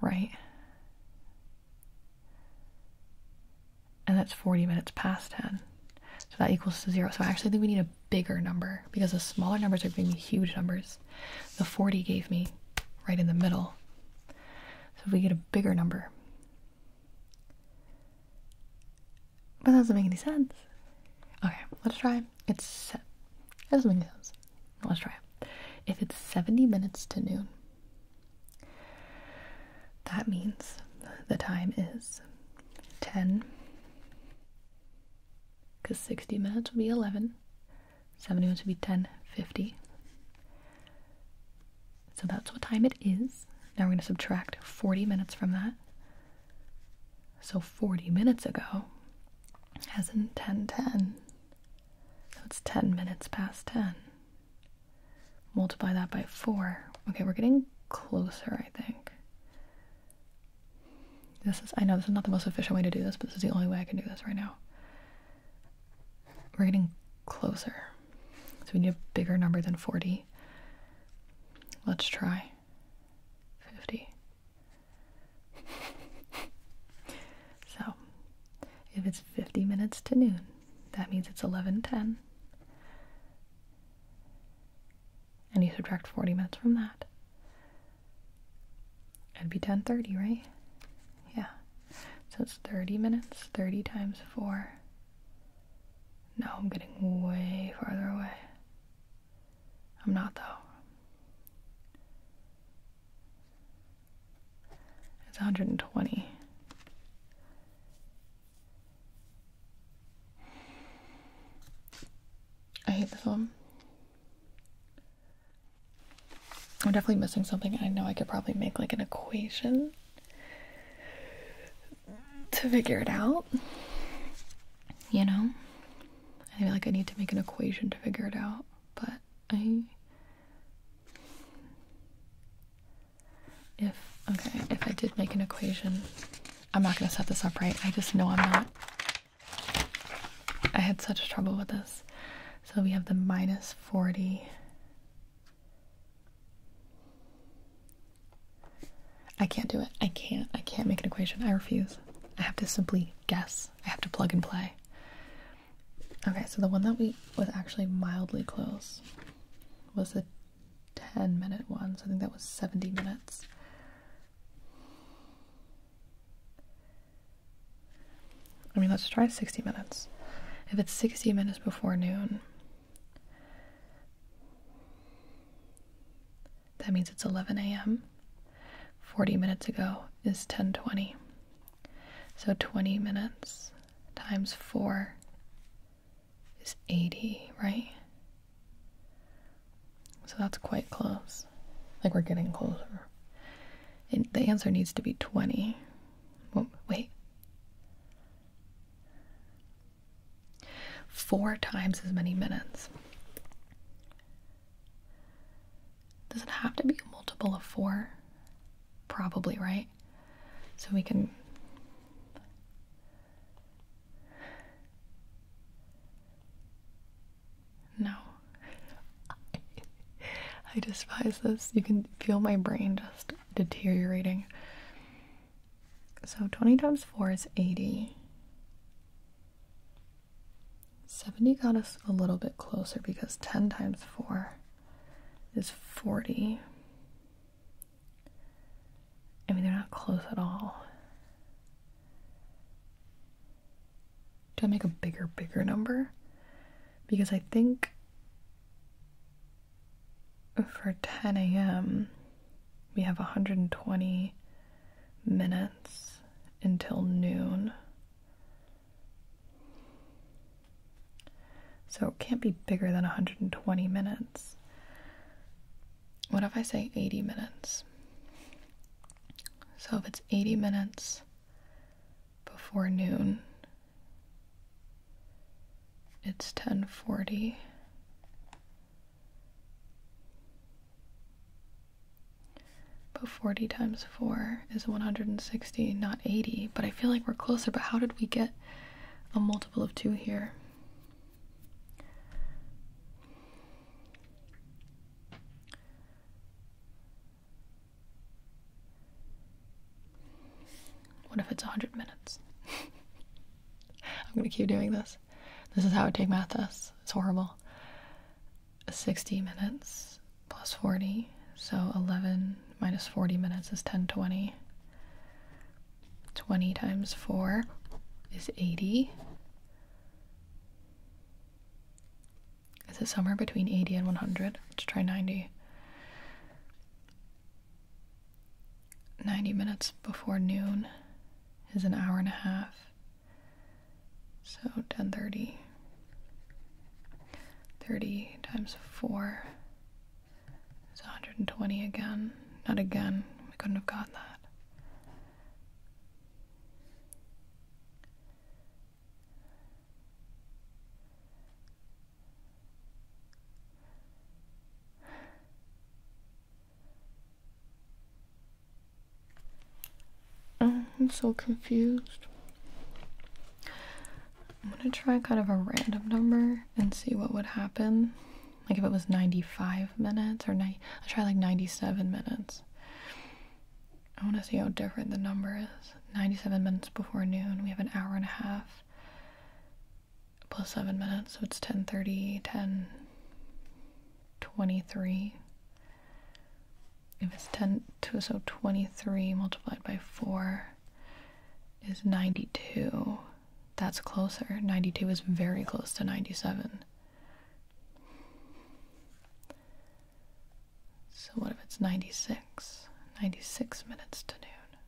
Right? And that's 40 minutes past 10. So that equals to zero. So I actually think we need a bigger number because the smaller numbers are giving me huge numbers. The 40 gave me right in the middle. So if we get a bigger number. But that doesn't make any sense. Okay, let's try. It's set. That doesn't make sense. Let's try. If it's 70 minutes to noon, that means the time is 10, because 60 minutes would be 11, 70 minutes will be 10.50. So that's what time it is. Now we're going to subtract 40 minutes from that. So 40 minutes ago, as in 10.10, so it's 10 minutes past 10 multiply that by 4. Okay, we're getting closer, I think. This is, I know this is not the most efficient way to do this, but this is the only way I can do this right now. We're getting closer. So we need a bigger number than 40. Let's try 50. so, if it's 50 minutes to noon, that means it's 1110. And you subtract 40 minutes from that. It'd be 1030, right? Yeah. So it's 30 minutes, 30 times 4. No, I'm getting way farther away. I'm not, though. It's 120. I hate this one. I'm definitely missing something. I know I could probably make like an equation to figure it out. You know? I feel like I need to make an equation to figure it out, but I if okay, if I did make an equation, I'm not gonna set this up right. I just know I'm not. I had such trouble with this. So we have the minus 40. I can't do it. I can't. I can't make an equation. I refuse. I have to simply guess. I have to plug and play. Okay, so the one that we was actually mildly close was a 10 minute one, so I think that was 70 minutes. I mean, let's try 60 minutes. If it's 60 minutes before noon, that means it's 11 a.m. 40 minutes ago is 10:20. So 20 minutes times 4 is 80, right? So that's quite close. Like we're getting closer. And the answer needs to be 20. wait. 4 times as many minutes. Does it have to be a multiple of 4? Probably, right? so we can no I despise this. You can feel my brain just deteriorating. So 20 times 4 is 80. 70 got us a little bit closer because 10 times 4 is 40. I mean, they're not close at all. Do I make a bigger, bigger number? Because I think for 10 a.m., we have 120 minutes until noon. So it can't be bigger than 120 minutes. What if I say 80 minutes? So if it's 80 minutes before noon, it's 1040. But 40 times 4 is 160, not 80. But I feel like we're closer. But how did we get a multiple of 2 here. What if it's 100 minutes? I'm gonna keep doing this. This is how I take math tests. It's horrible. 60 minutes plus 40, so 11 minus 40 minutes is 1020. 20 times 4 is 80. Is it somewhere between 80 and 100? Let's try 90. 90 minutes before noon is an hour and a half. So 1030. 30 times 4 it's 120 again. Not again. We couldn't have got that. Oh, I'm so confused. I'm gonna try kind of a random number and see what would happen. Like if it was 95 minutes or ni- I'll try like 97 minutes. I want to see how different the number is. 97 minutes before noon. We have an hour and a half plus 7 minutes, so it's 10:30, 10 23. If it's 10 to so 23 multiplied by 4 is 92. That's closer. 92 is very close to 97. So, what if it's 96? 96 minutes to noon.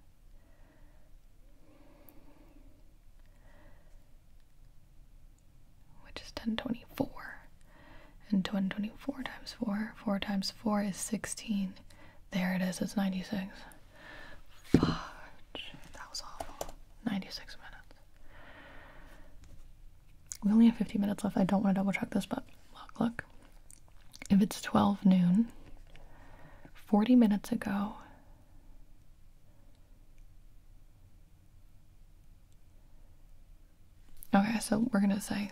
Which is 1024. And 1024 times 4, 4 times 4 is 16. There it is, it's 96. Fudge. That was awful. 96 minutes. We only have fifteen minutes left. I don't want to double check this, but look, look. If it's 12 noon, 40 minutes ago, Okay, so we're gonna say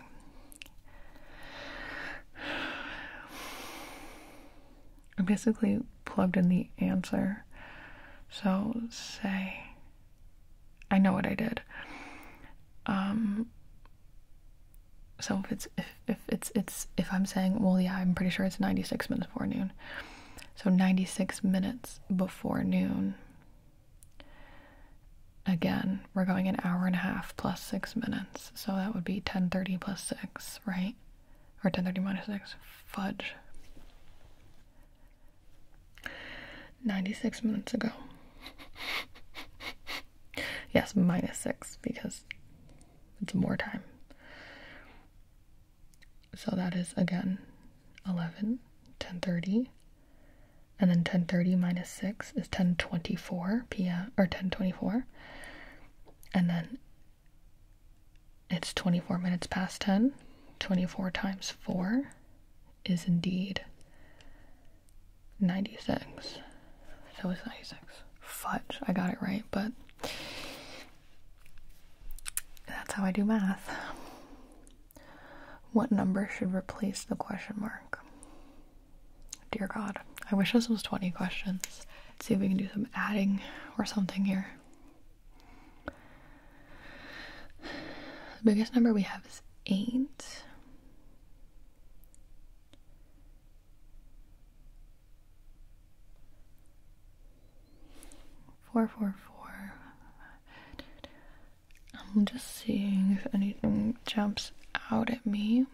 I basically plugged in the answer. So say, I know what I did. Um, so if it's if, if it's it's if I'm saying well yeah I'm pretty sure it's 96 minutes before noon, so 96 minutes before noon. Again, we're going an hour and a half plus six minutes, so that would be 10:30 plus six, right? Or 1030 minus 6. Fudge. 96 minutes ago. yes, minus 6 because it's more time. So that is again 11, 1030. And then 1030 minus 6 is 1024 p.m. or 1024 and then it's 24 minutes past 10. 24 times 4 is indeed 96. So it's 96. Fudge, I got it right, but that's how I do math. What number should replace the question mark? Dear God, I wish this was 20 questions. see if we can do some adding or something here. The biggest number we have is 8. Four, four, four. I'm just seeing if anything jumps out at me.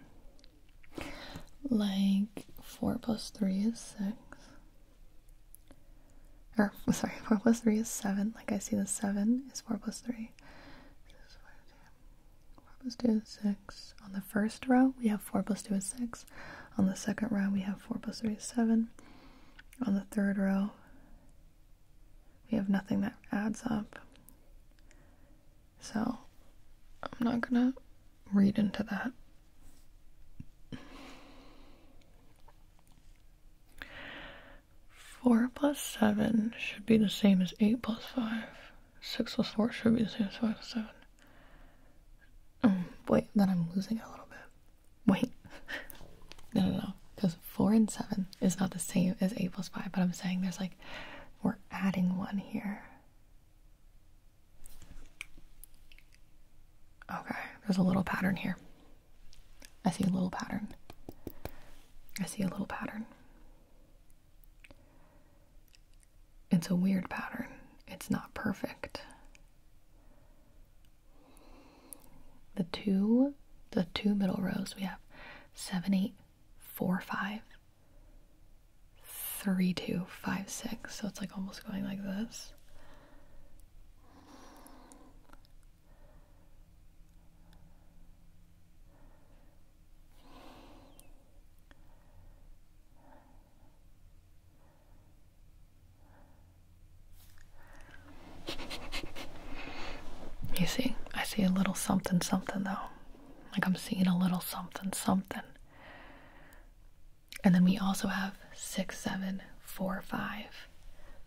Like four plus three is six. Or sorry, four plus three is seven. Like I see the seven is four plus three. two. Four plus two is six. On the first row we have four plus two is six. On the second row we have four plus three is seven. On the third row we have nothing that adds up. So, I'm not gonna read into that. Four plus seven should be the same as eight plus five. Six plus four should be the same as five plus seven. Um, wait, then I'm losing a little bit. Wait. no, no, no. Because four and seven is not the same as eight plus five, but I'm saying there's like, we're adding one here. Okay, there's a little pattern here. I see a little pattern. I see a little pattern. It's a weird pattern. It's not perfect. The two the two middle rows we have 7 8 4 5 three two five six so it's like almost going like this You see, I see a little something something though. Like I'm seeing a little something something. And then we also have six, seven, four, five,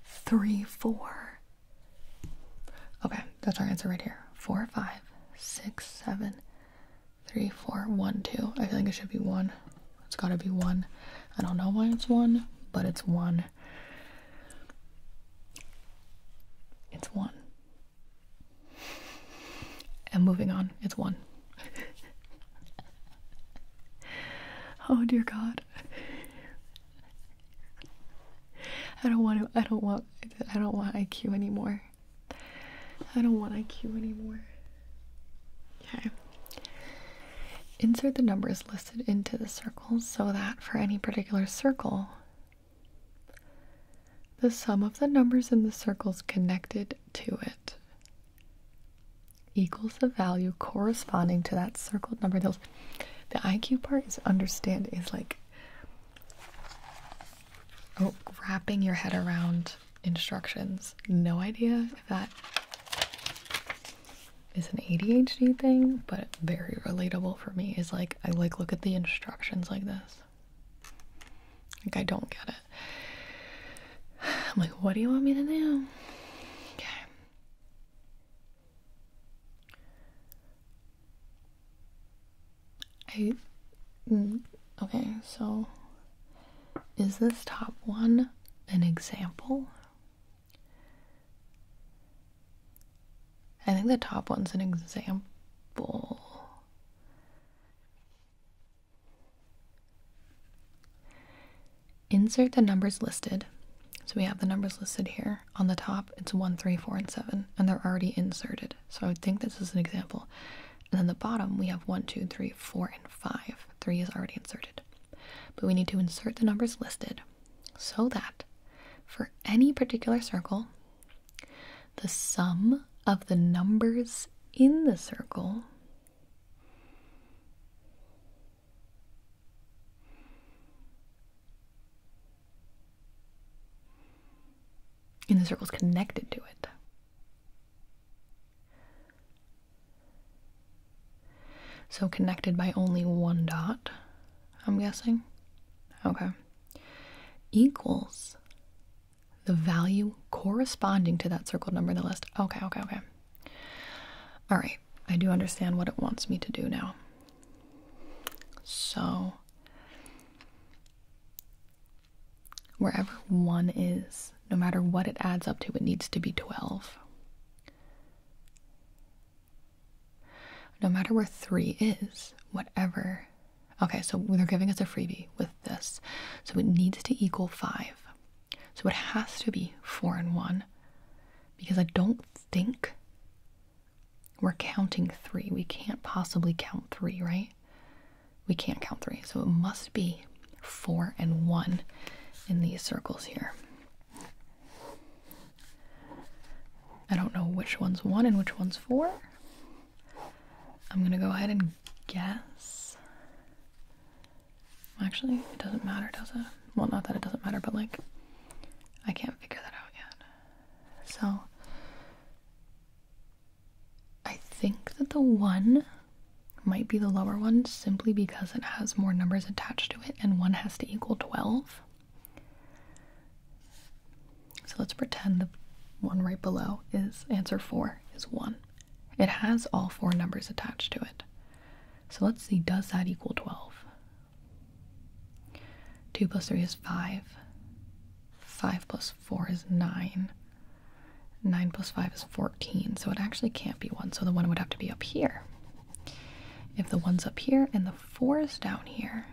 three, four. Okay, that's our answer right here. Four, five, six, seven, three, four, one, two. I feel like it should be one. It's gotta be one. I don't know why it's one, but it's one. It's one. And moving on, it's one. oh dear God. I don't want to, I don't want I don't want IQ anymore. I don't want IQ anymore. Okay. Insert the numbers listed into the circles so that for any particular circle the sum of the numbers in the circles connected to it equals the value corresponding to that circled number. the IQ part is understand is like oh, wrapping your head around instructions. No idea if that is an ADHD thing, but very relatable for me is like I like look at the instructions like this. Like, I don't get it. I'm like, what do you want me to do? Okay. I. Mm, okay, so is this top one an example? I think the top one's an example. Insert the numbers listed. So we have the numbers listed here. On the top, it's 1, 3, 4, and 7, and they're already inserted. So I would think this is an example. And then the bottom, we have 1, 2, 3, 4, and 5. 3 is already inserted. But we need to insert the numbers listed so that for any particular circle, the sum of the numbers in the circle and the circle's connected to it. So connected by only one dot, I'm guessing. Okay. Equals the value corresponding to that circled number in the list. Okay, okay, okay. All right, I do understand what it wants me to do now. So, wherever 1 is, no matter what it adds up to, it needs to be 12. No matter where 3 is, whatever Okay, so they're giving us a freebie with this. So it needs to equal 5. So it has to be 4 and 1 because I don't think we're counting 3. We can't possibly count 3, right? We can't count 3. So it must be 4 and 1 in these circles here. I don't know which one's 1 and which one's 4. I'm going to go ahead and guess. Actually, it doesn't matter, does it? Well, not that it doesn't matter, but like, I can't figure that out yet. So, I think that the one might be the lower one simply because it has more numbers attached to it and one has to equal 12. So let's pretend the one right below is answer 4 is 1. It has all four numbers attached to it. So let's see, does that equal 12? 2 plus 3 is 5. 5 plus 4 is 9. 9 plus 5 is 14, so it actually can't be 1, so the 1 would have to be up here. If the 1's up here and the 4 is down here,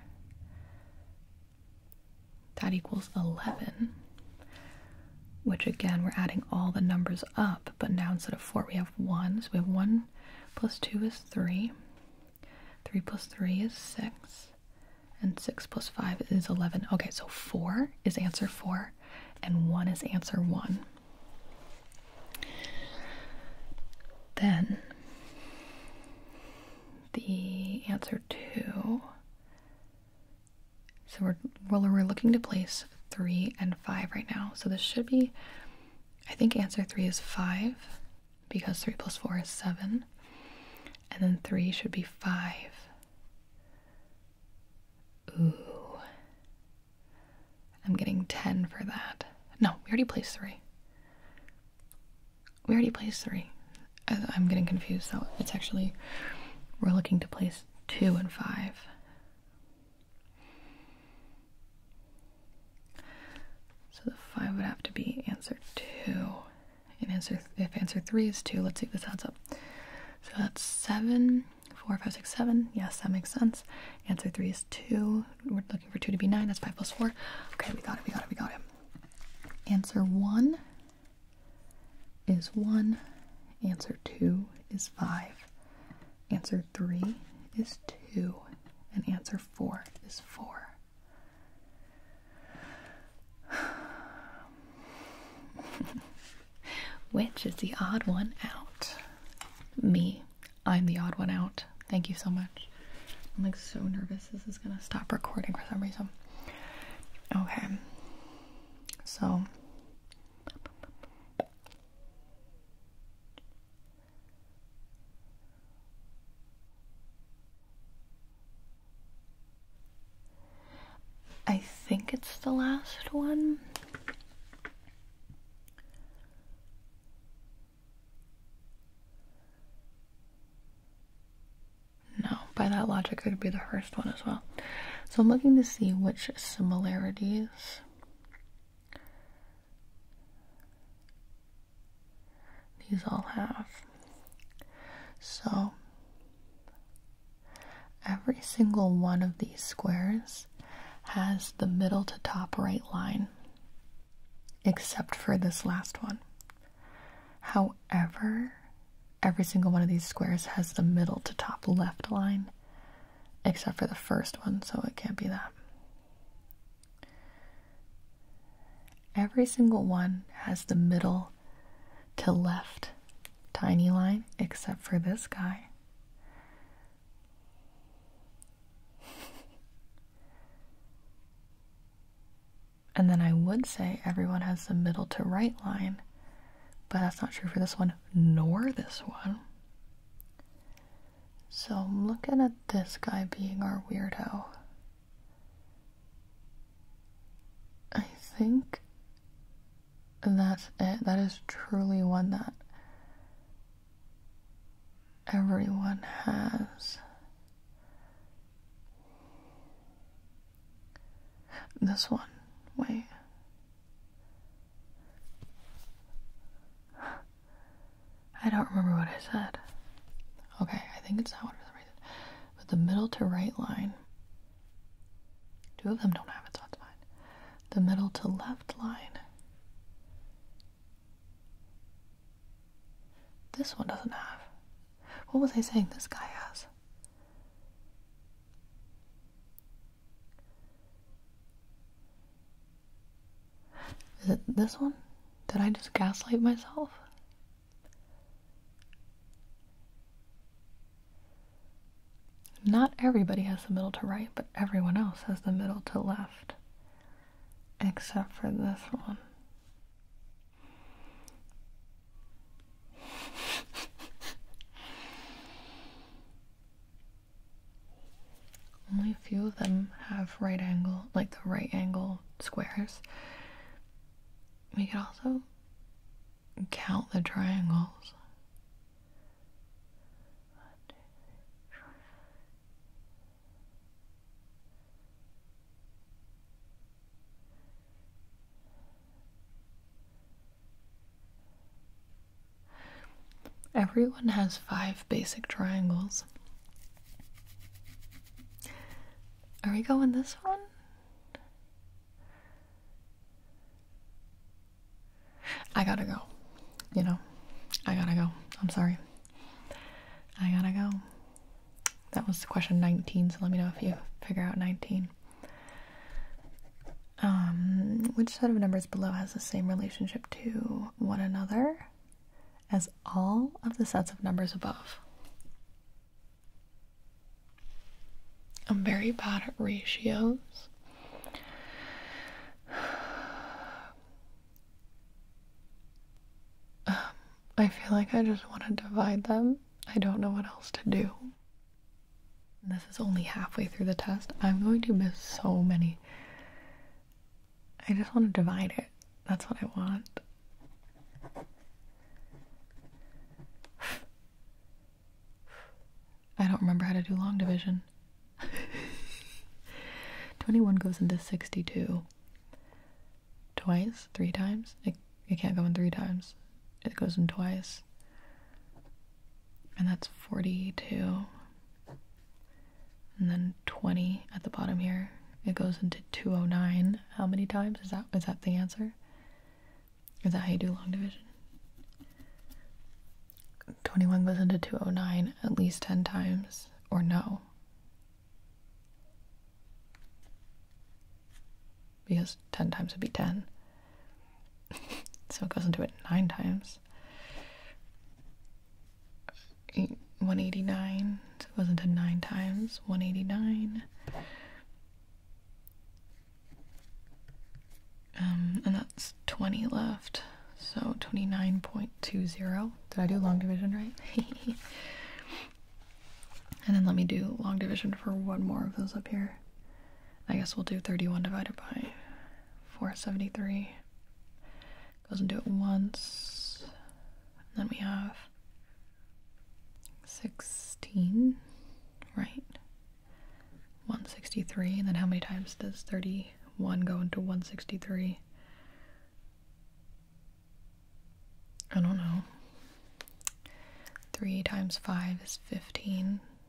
that equals 11, which again, we're adding all the numbers up, but now instead of 4, we have 1. So we have 1 plus 2 is 3, 3 plus 3 is 6, and 6 plus 5 is 11. Okay, so 4 is answer 4, and 1 is answer 1. Then the answer 2 so we're, looking to place three and five right now. So this should be, I think answer three is five because three plus four is seven. And then three should be five. Ooh. I'm getting 10 for that. No, we already placed three. We already placed three. I'm getting confused, so it's actually, we're looking to place 2 and 5. So the 5 would have to be answer 2. And answer if answer 3 is 2, let's see if this adds up. So that's 7, 4, 5, 6, 7. Yes, that makes sense. Answer 3 is 2. We're looking for 2 to be 9. That's 5 plus 4. Okay, we got it, we got it, we got it. Answer 1 is 1, answer 2 is 5, answer 3 is 2, and answer 4 is 4. Which is the odd one out? Me. I'm the odd one out. Thank you so much. I'm like so nervous this is gonna stop recording for some reason. Okay. So I think it's the last one. No, by that logic, it would be the first one as well. So I'm looking to see which similarities these all have. So every single one of these squares has the middle to top right line, except for this last one. However, every single one of these squares has the middle to top left line except for the first one, so it can't be that. Every single one has the middle to left tiny line except for this guy. and then I would say everyone has the middle to right line but that's not true for this one nor this one. So I'm looking at this guy being our weirdo. I think that's it. That is truly one that everyone has. This one. Wait. I don't remember what I said. Okay, I think it's that one for some reason. But the middle to right line. Two of them don't have it, so that's fine. The middle to left line. This one doesn't have. What was I saying this guy has? Is it this one? Did I just gaslight myself? Not everybody has the middle to right, but everyone else has the middle to left. Except for this one. Only a few of them have right angle, like the right angle squares. We could also count the triangles. Everyone has five basic triangles. Are we going this one? I gotta go. You know, I gotta go. I'm sorry. I gotta go. That was question 19, so let me know if you figure out 19. Um, which set of numbers below has the same relationship to one another as all of the sets of numbers above? I'm very bad at ratios. Um, I feel like I just want to divide them. I don't know what else to do. This is only halfway through the test. I'm going to miss so many. I just want to divide it. That's what I want. I don't remember how to do long division. 21 goes into 62 twice, three times. It, can't go in three times. It goes in twice and that's 42 and then 20 at the bottom here it goes into 209 how many times is that is that the answer is that how you do long division 21 goes into 209 at least 10 times or no because 10 times would be 10. so it goes into it 9 times. 189, so it goes into 9 times. 189. Um, and that's 20 left. So 29.20. Did I do long division right? and then let me do long division for one more of those up here. I guess we'll do 31 divided by 473. Goes and do it once. And then we have 16, right? 163. And then how many times does 31 go into 163? I don't know. 3 times 5 is 15.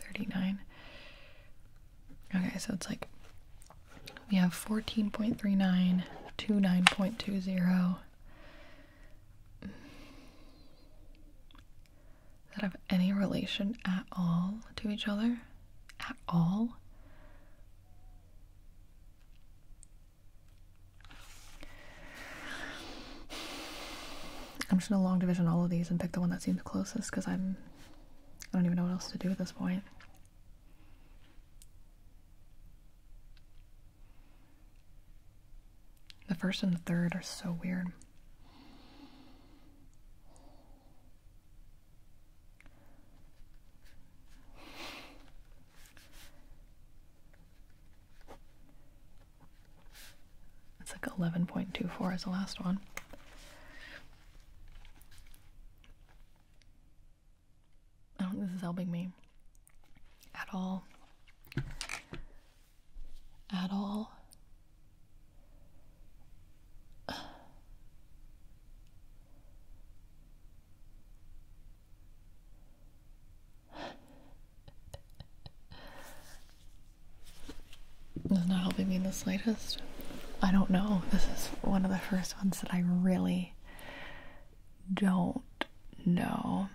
39. Okay, so it's like we have 14.39 to 9.20. that have any relation at all to each other? At all? I'm just gonna long division all of these and pick the one that seems closest because I'm I don't even know what else to do at this point. The first and the third are so weird. It's like 11.24 as the last one. I don't think this is helping me at all. At all. It's not helping me in the slightest. I don't know. This is one of the first ones that I really don't know.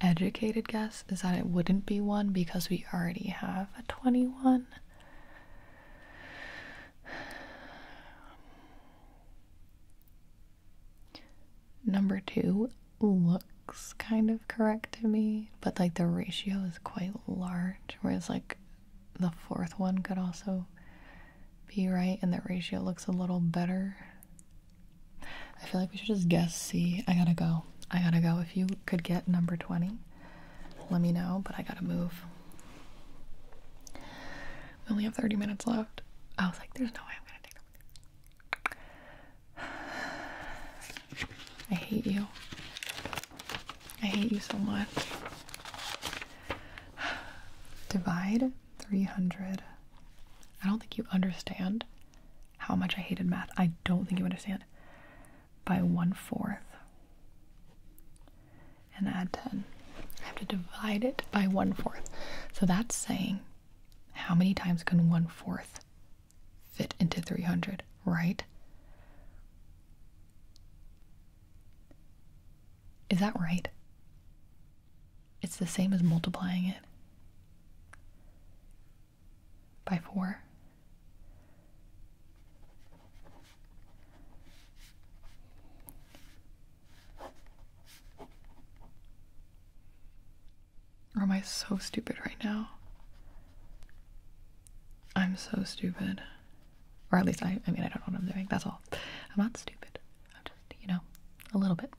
Educated guess is that it wouldn't be one because we already have a 21. Number two looks kind of correct to me, but like the ratio is quite large, whereas like the fourth one could also be right and the ratio looks a little better. I feel like we should just guess See, I gotta go. I gotta go. If you could get number 20, let me know, but I gotta move. We only have 30 minutes left. I was like, there's no way I'm gonna take them. I hate you. I hate you so much. Divide 300. I don't think you understand how much I hated math. I don't think you understand. By one fourth and add 10. I have to divide it by 1 fourth. So that's saying how many times can 1 fourth fit into 300, right? Is that right? It's the same as multiplying it by 4. Or am I so stupid right now? I'm so stupid. Or at least I, I mean, I don't know what I'm doing. That's all. I'm not stupid. I'm just, you know, a little bit.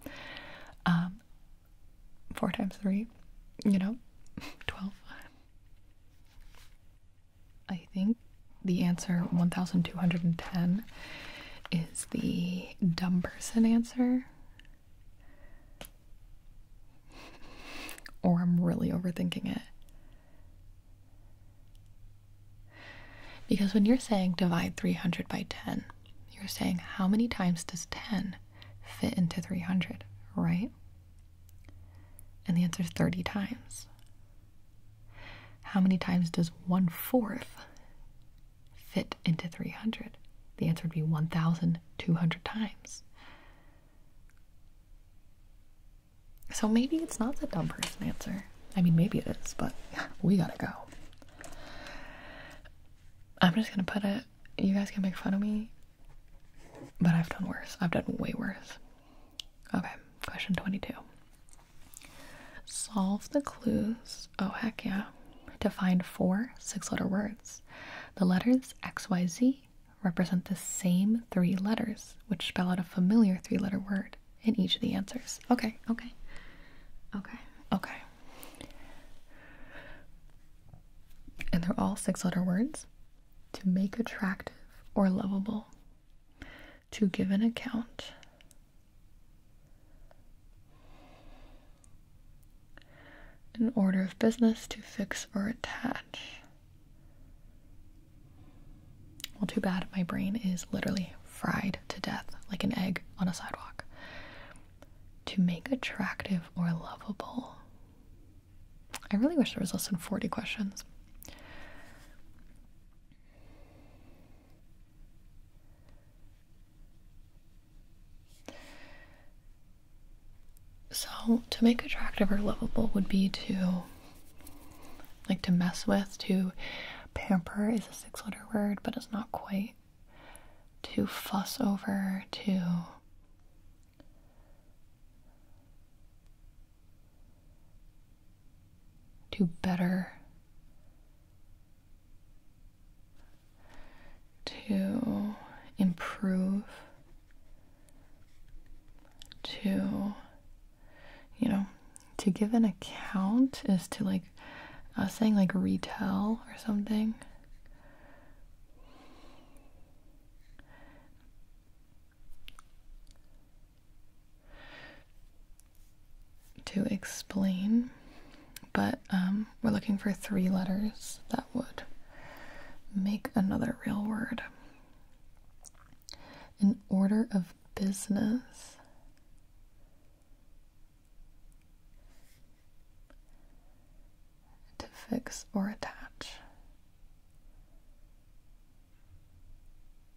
Um, four times three, you know, 12. I think the answer 1210 is the dumb person answer. Or I'm really overthinking it. Because when you're saying divide 300 by 10, you're saying how many times does 10 fit into 300, right? And the answer is 30 times. How many times does one fourth fit into 300? The answer would be 1,200 times. So maybe it's not the dumb person answer. I mean, maybe it is, but we gotta go. I'm just gonna put it, you guys can make fun of me, but I've done worse. I've done way worse. Okay, question 22. Solve the clues. Oh, heck yeah. To find four six letter words. The letters XYZ represent the same three letters, which spell out a familiar three letter word in each of the answers. Okay, okay, okay, okay. And they're all six letter words to make attractive or lovable to give an account. An order of business to fix or attach. Well, too bad. My brain is literally fried to death like an egg on a sidewalk. To make attractive or lovable. I really wish there was less than 40 questions. So, to make attractive or lovable would be to like to mess with, to pamper is a six letter word, but it's not quite. To fuss over, to do better, to improve, to, you know, to give an account is to like, I uh, was saying like retell or something to explain, but um, we're looking for three letters that would make another real word. In order of business. To fix or attach.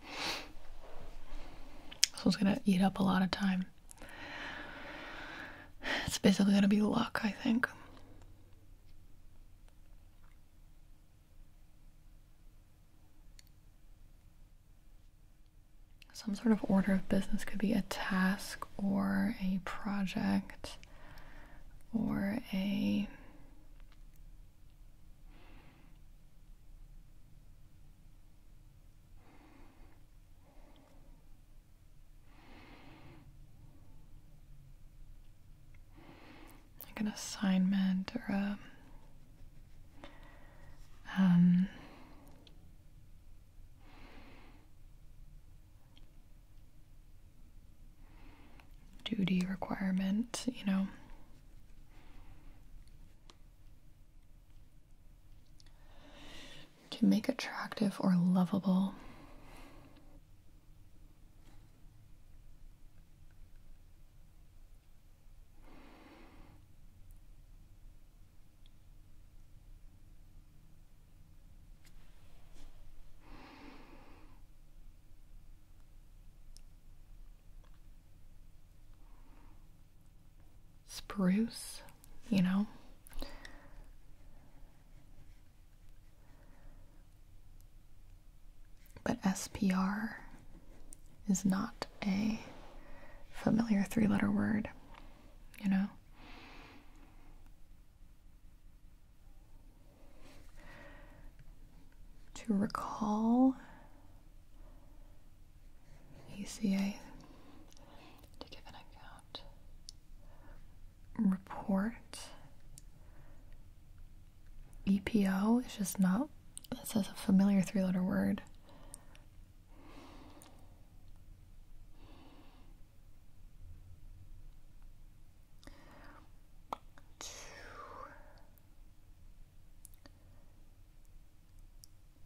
This one's gonna eat up a lot of time. It's basically gonna be luck, I think. Some sort of order of business could be a task or a project or a like an assignment or a um, duty requirement, you know. To make attractive or lovable spruce, you know? But SPR is not a familiar three letter word, you know? To recall ECA to give an account report. EPO is just not, it says a familiar three letter word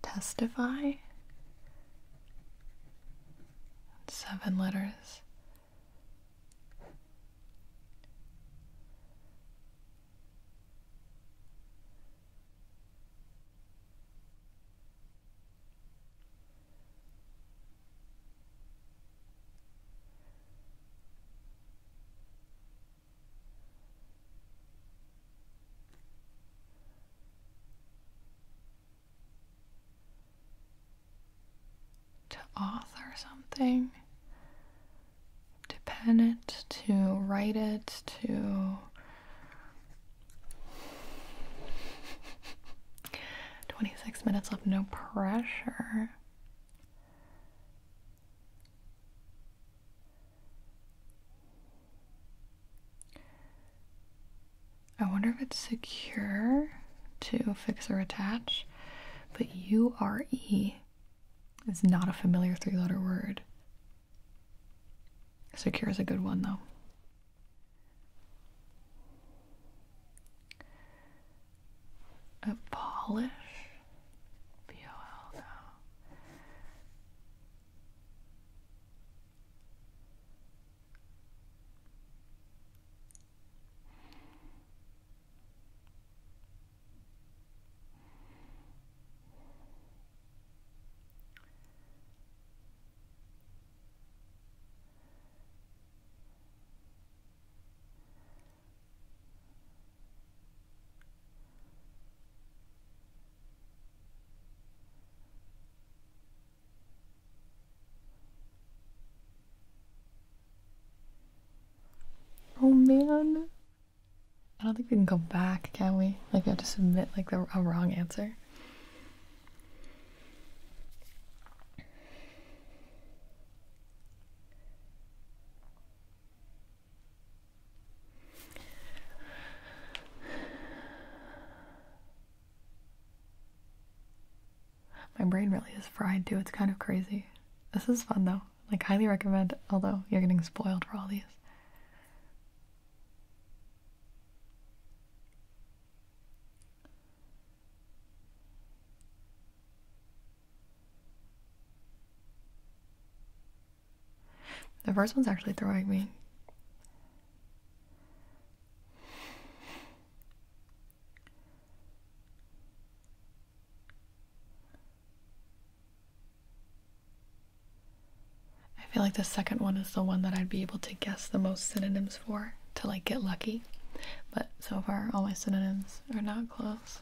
testify. Seven letters to author something, to pen it, to write it, to. Twenty-six minutes of no pressure. I wonder if it's secure to fix or attach, but URE is not a familiar three letter word. Secure is a good one though. A VOL now. Oh man. I don't think we can go back, can we? Like we have to submit like a wrong answer. My brain really is fried too. It's kind of crazy. This is fun though. Like, highly recommend, although you're getting spoiled for all these. The first one's actually throwing me. I feel like the second one is the one that I'd be able to guess the most synonyms for to like get lucky. But so far, all my synonyms are not close.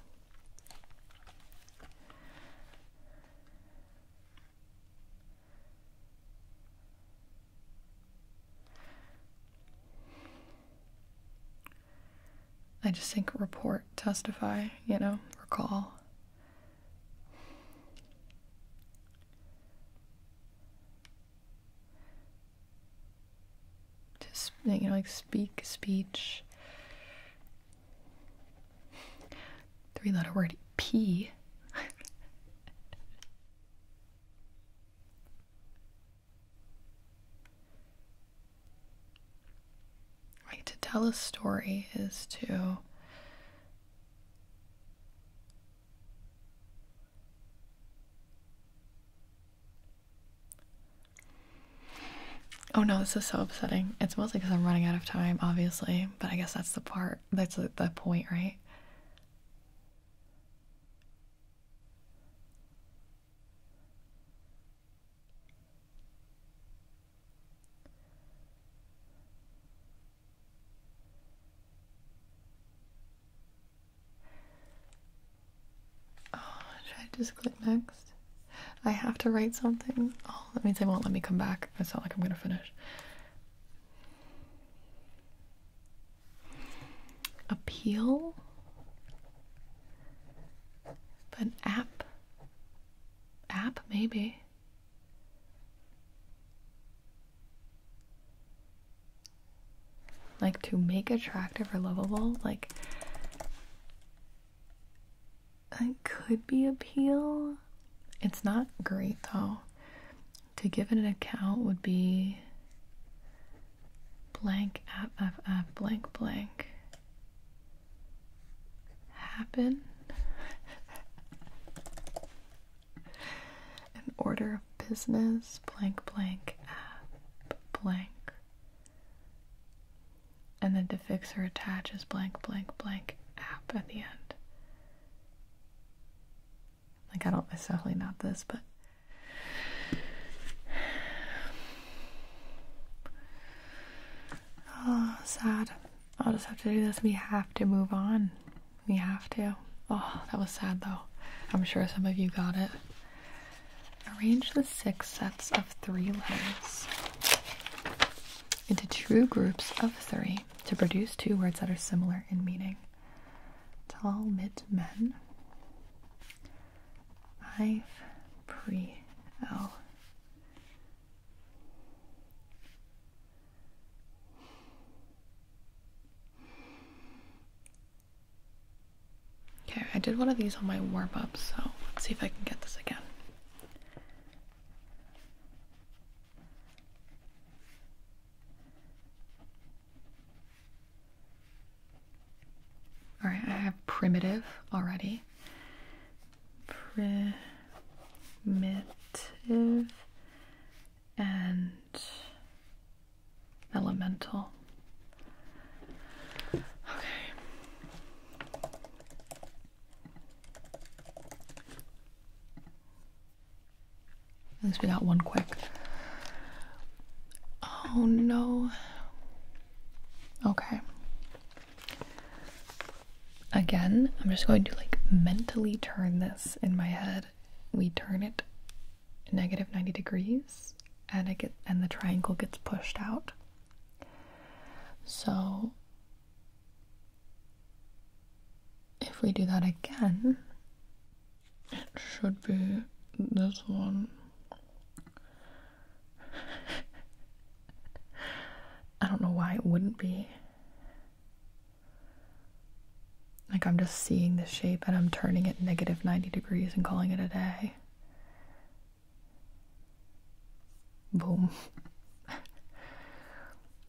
I just think report, testify, you know, recall. Just, you know, like speak, speech, Three letter word P. to tell a story is to. Oh no, this is so upsetting. It's mostly because I'm running out of time, obviously but I guess that's the part, that's the, the point, right? Oh, should I just click next? I have to write something. Oh, that means they won't let me come back. It's not like I'm gonna finish. Appeal? But app? App, maybe. Like to make attractive or lovable, like it could be a peel. It's not great though. To give it an account would be blank app FF blank blank happen an order of business blank blank app blank and then the fixer attaches blank blank blank app at the end. Like I don't necessarily not this, but oh sad. I'll just have to do this. We have to move on. We have to. Oh, that was sad though. I'm sure some of you got it. Arrange the six sets of three letters into true groups of three to produce two words that are similar in meaning. Talmud men. I've pre L. Okay, I did one of these on my warm up, so let's see if I can get this again. All right, I have primitive already. Primitive and elemental. Okay. At least we got one quick. Oh no. Okay. Again, I'm just going to like mentally turn this in my head. We turn it negative 90 degrees and it get, and the triangle gets pushed out. So if we do that again, it should be this one. I don't know why it wouldn't be. Like, I'm just seeing the shape and I'm turning it negative 90 degrees and calling it a day. Boom.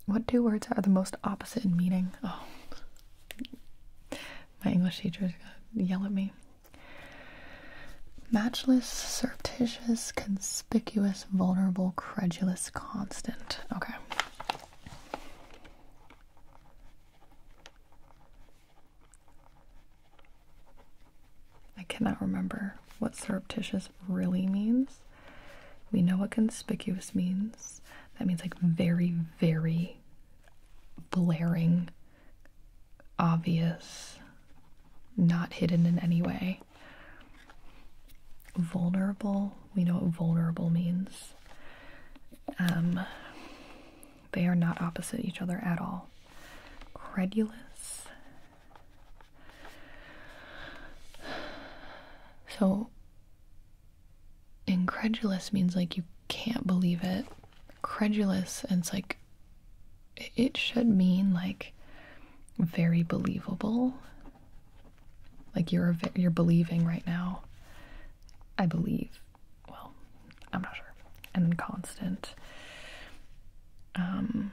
what two words are the most opposite in meaning? Oh, my English teacher is gonna yell at me. Matchless, surreptitious, conspicuous, vulnerable, credulous, constant. Okay. I cannot remember what surreptitious really means. We know what conspicuous means. That means like very, very blaring, obvious, not hidden in any way. Vulnerable, we know what vulnerable means. Um, they are not opposite each other at all. Credulous, so, incredulous means like you can't believe it. Credulous, and it's like it should mean like very believable. Like you're you're believing right now. I believe. Well, I'm not sure. And then constant. Um,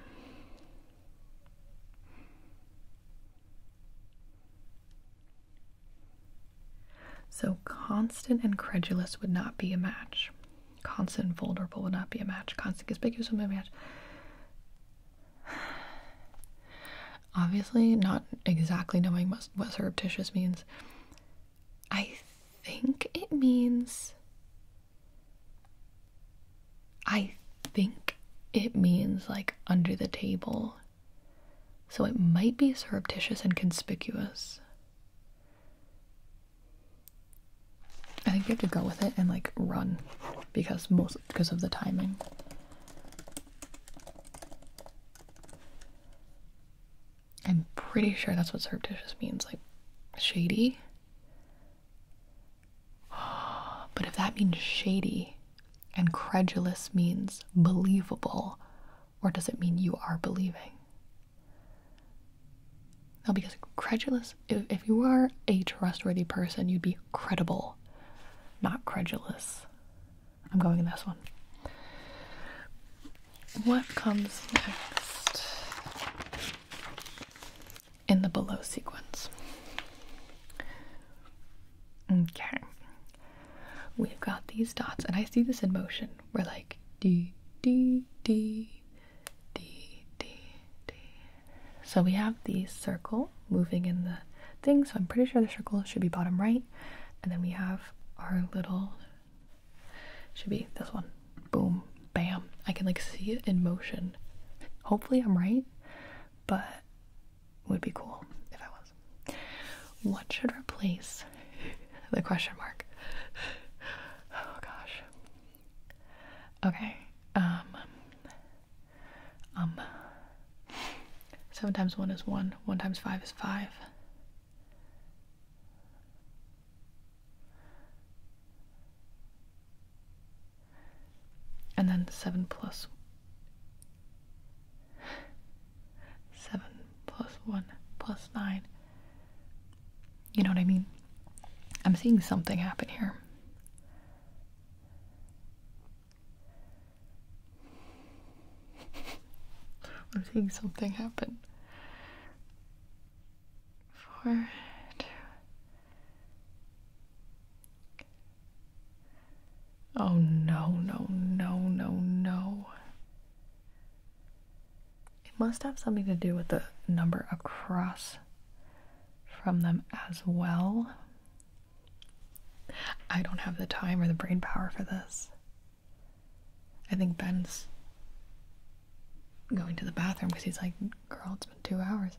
so, constant and credulous would not be a match. Constant and vulnerable would not be a match. Constant conspicuous would not be a match. Obviously, not exactly knowing what, what surreptitious means. I think it means I think it means like under the table. So it might be surreptitious and conspicuous. I think you have to go with it and like run because most because of the timing. I'm pretty sure that's what surreptitious means, like shady. But if that means shady and credulous means believable, or does it mean you are believing? Now, because credulous, if, if you are a trustworthy person, you'd be credible, not credulous. I'm going in this one. What comes next? in the below sequence. Okay. We've got these dots, and I see this in motion. We're like D, D, D, D, D, D. So we have the circle moving in the thing, so I'm pretty sure the circle should be bottom right. And then we have our little, should be this one. Boom, bam. I can like see it in motion. Hopefully, I'm right, but would be cool if I was. What should replace the question mark? Oh gosh. Okay. Um. Um. Seven times one is one. One times five is five and then 7 plus 7 plus 1 plus 9. You know what I mean? I'm seeing something happen here. I'm seeing something happen. Four, two, Oh no, no, no, no, no. It must have something to do with the number across from them as well. I don't have the time or the brain power for this. I think Ben's going to the bathroom because he's like, girl, it's been two hours.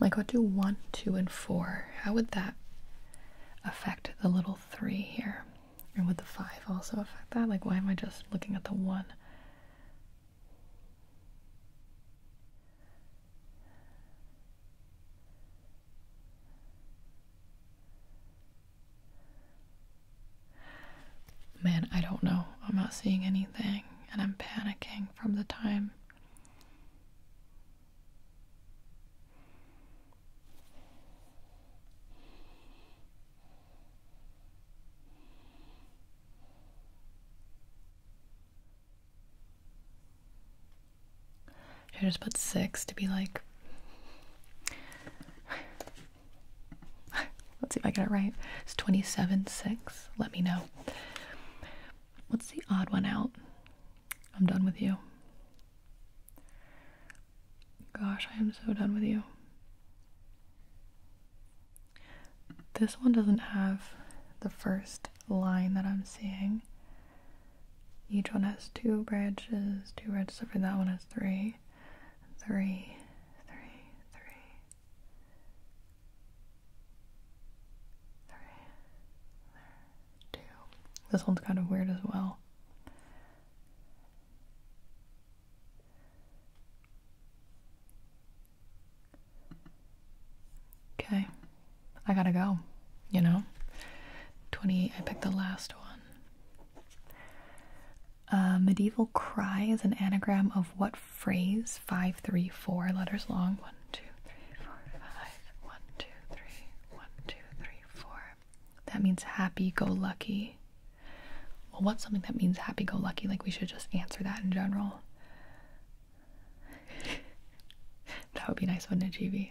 Like, what do one, two, and four. How would that affect the little three here? And would the five also affect that? Like, why am I just looking at the one? Man, I don't know. I'm not seeing anything and I'm panicking from the time. I just put six to be like Let's see if I get it right. It's 27 6. Let me know. What's the odd one out? I'm done with you. Gosh, I am so done with you. This one doesn't have the first line that I'm seeing. Each one has two branches, two branches, except for that one has three three, three, three, three, This one's kind of weird as well. Okay, I gotta go, you know? 28, I picked the last one. Uh, medieval cry is an anagram of what phrase? Five, three, four letters long. One, two, three, four, One, two, three, four. That means happy go lucky. Well, what's something that means happy go lucky? Like, we should just answer that in general. that would be nice, wouldn't it, GB?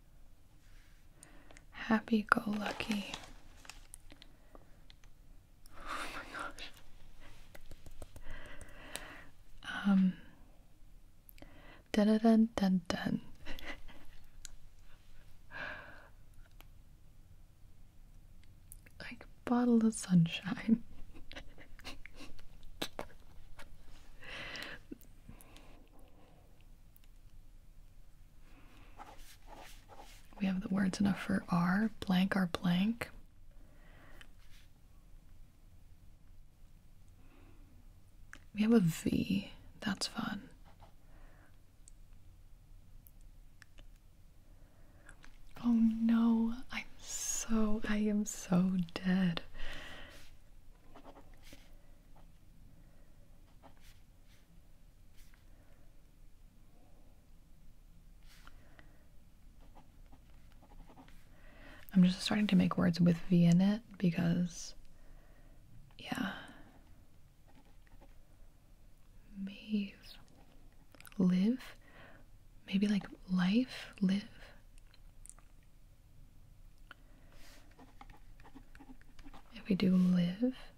Happy go lucky. Oh my gosh. Um. Dun dun dun dun dun. like bottle of sunshine. We have the words enough for R, blank R blank. We have a V. That's fun. Oh no, I'm so, I am so dead. I'm just starting to make words with V in it because, yeah. Live? Maybe like life? Live? If we do live.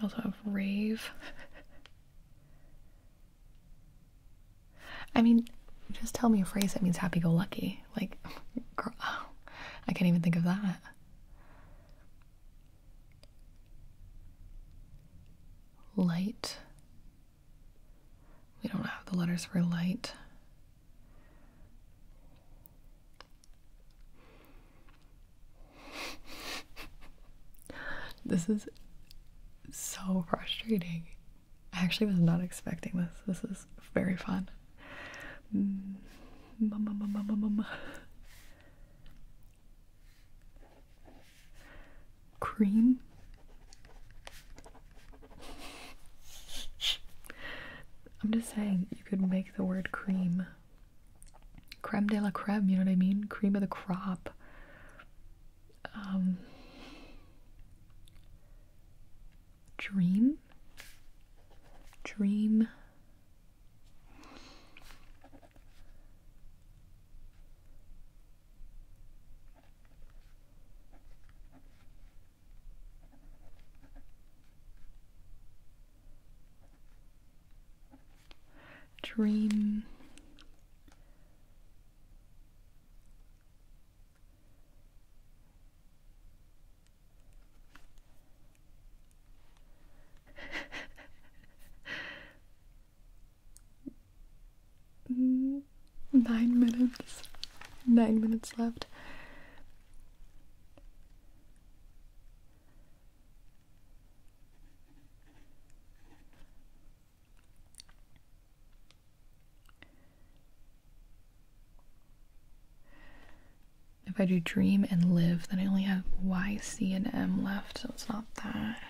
I also have rave. I mean, just tell me a phrase that means happy go lucky. Like, I can't even think of that light. We don't have the letters for light. this is so frustrating. I actually was not expecting this. This is very fun. Mm. Cream. I'm just saying, you could make the word cream. Creme de la creme, you know what I mean? Cream of the crop. Um, dream? Dream Dream. Mm, nine minutes. Nine minutes left. If I do dream and live, then I only have Y, C, and M left, so it's not that.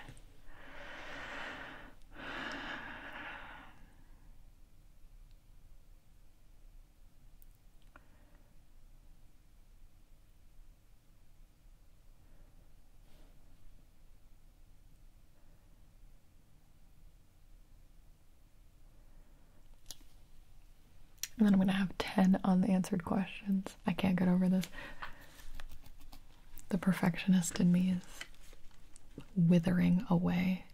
And then I'm going to have 10 unanswered questions. I can't get over this. The perfectionist in me is withering away.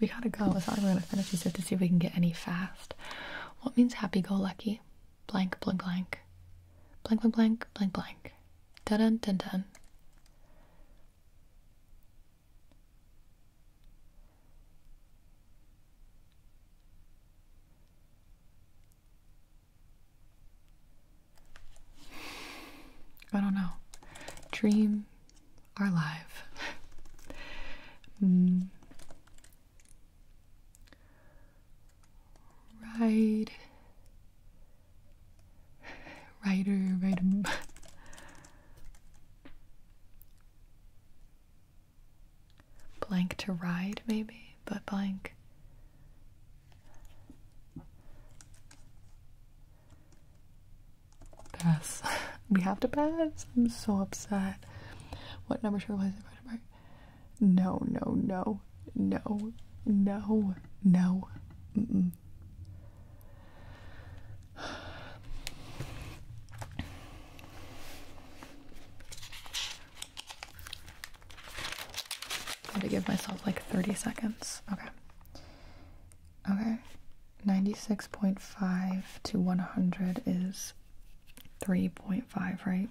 We gotta go. It's not like we're gonna finish these to see if we can get any fast. What means happy go lucky? blank blank blank blank blank blank blank blank dun dun dun dun I don't know. Dream are live. mm. Ride. Rider, rider. blank to ride, maybe, but blank. Pass. we have to pass. I'm so upset. What number should we place no, no, no, no, no, no. Mm -mm. I had to give myself like 30 seconds. Okay. Okay. 96.5 to 100 is 3.5, right?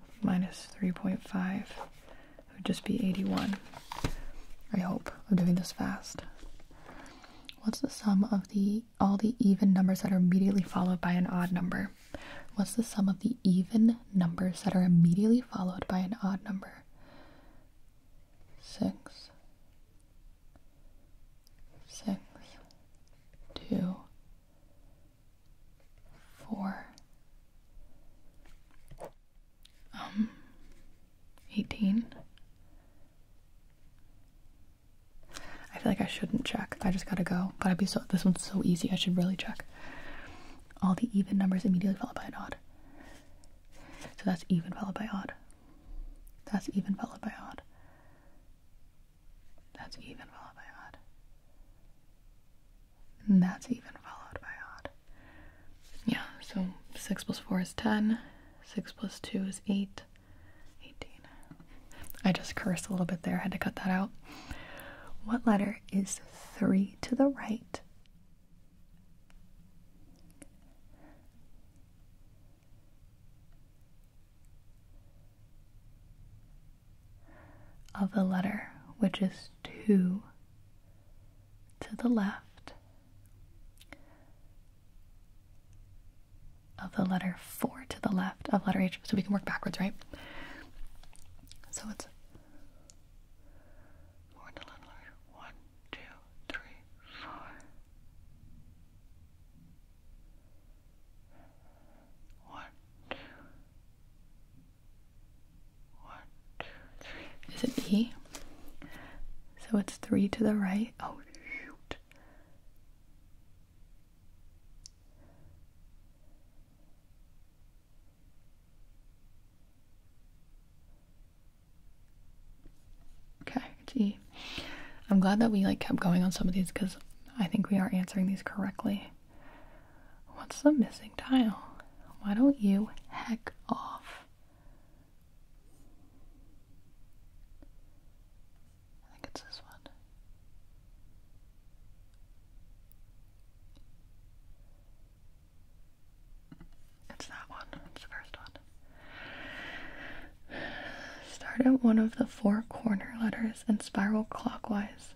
minus 3.5 would just be 81. I hope I'm doing this fast. What's the sum of the all the even numbers that are immediately followed by an odd number? What's the sum of the even numbers that are immediately followed by an odd number? 6 6 2 four, um, eighteen. I feel like I shouldn't check. I just gotta go. But I'd be so. This one's so easy. I should really check. All the even numbers immediately followed by an odd. So that's even followed by odd. That's even followed by odd. That's even followed by odd. that's even followed by odd. Yeah, so 6 plus 4 is 10, 6 plus 2 is 8, 18. I just cursed a little bit there, had to cut that out. What letter is 3 to the right? of the letter, which is 2 to the left of the letter 4 to the left of letter H. So we can work backwards, right? So it's one, two, three, four. One, two, one, two, three. Is it E? So it's three to the right. Oh, shoot. Okay, it's E. I'm glad that we like kept going on some of these because I think we are answering these correctly. What's the missing tile? Why don't you heck off? I think it's this one. It's that one. It's the first one. Start at one of the four corner letters and spiral clockwise.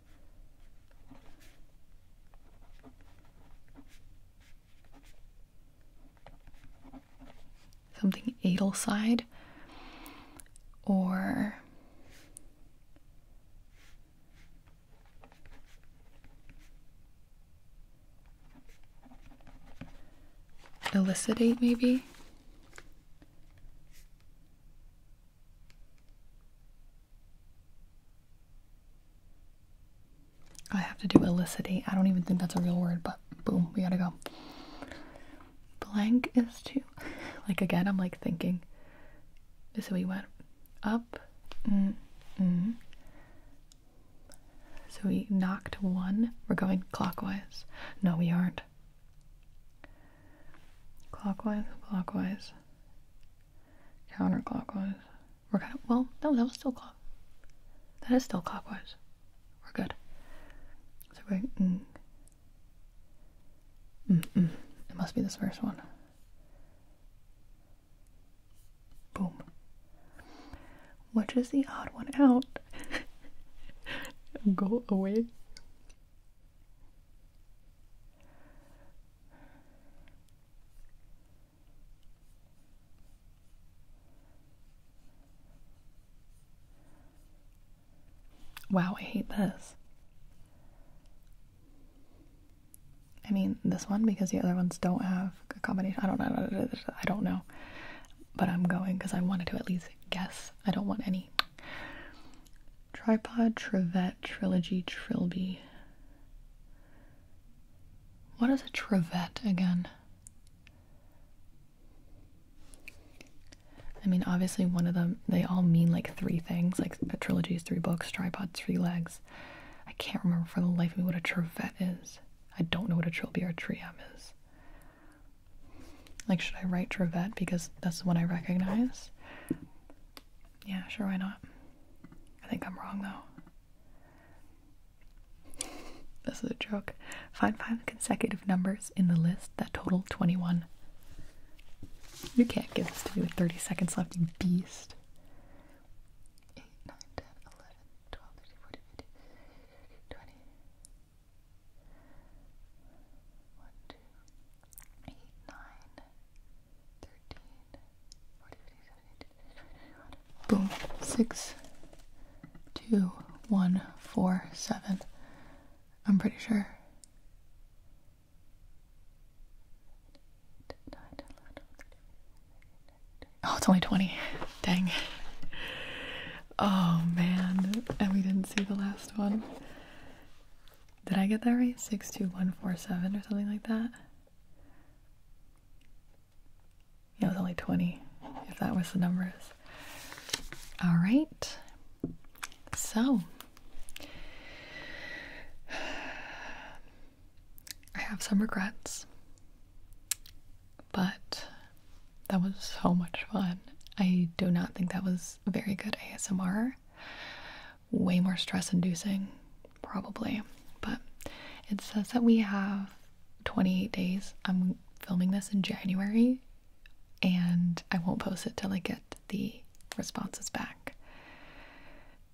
something Adelside or Elicitate maybe I have to do elicity. I don't even think that's a real word, but boom, we gotta go. Blank is two. like again, I'm like thinking. So we went up, mm, mm. so we knocked one. We're going clockwise. No, we aren't. Clockwise, clockwise counterclockwise. We're kind of, well, no, that was still clock. That is still clockwise. We're good. So we're, mm, mm. mm. It must be this first one. Boom. Which is the odd one out? Go away. Wow, I hate this. I mean, this one because the other ones don't have a combination. I don't know. I don't know. But I'm going because I wanted to at least guess. I don't want any. Tripod, Trivet, Trilogy, Trilby. What is a trivet again? I mean, obviously, one of them, they all mean like three things. Like a trilogy is three books, tripod, three legs. I can't remember for the life of me what a trivet is. I don't know what a trilby or triam is. Like, should I write trivet because that's the one I recognize? Yeah, sure, why not? I think I'm wrong though. this is a joke. Find five consecutive numbers in the list that total 21. You can't give this to me with 30 seconds left, you beast. 8, 9, Boom. Six, two, one, four, seven. I'm pretty sure. Oh, it's only 20. Dang. Oh man. And we didn't see the last one. Did I get that right? 62147 or something like that? Yeah, it was only 20, if that was the numbers. All right. So, I have some regrets, but that was so much fun. I do not think that was very good ASMR way more stress inducing, probably. But it says that we have 28 days. I'm filming this in January and I won't post it till I get the responses back.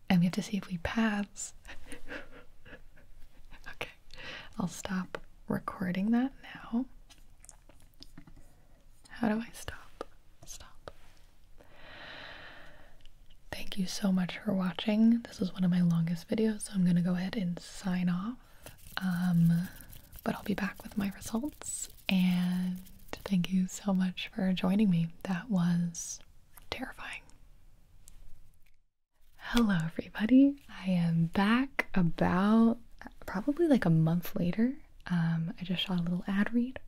And we have to see if we pass. okay, I'll stop recording that now. How do I stop? Stop. Thank you so much for watching. This is one of my longest videos, so I'm going to go ahead and sign off. Um, but I'll be back with my results. And thank you so much for joining me. That was terrifying. Hello, everybody. I am back about probably like a month later. Um, I just shot a little ad read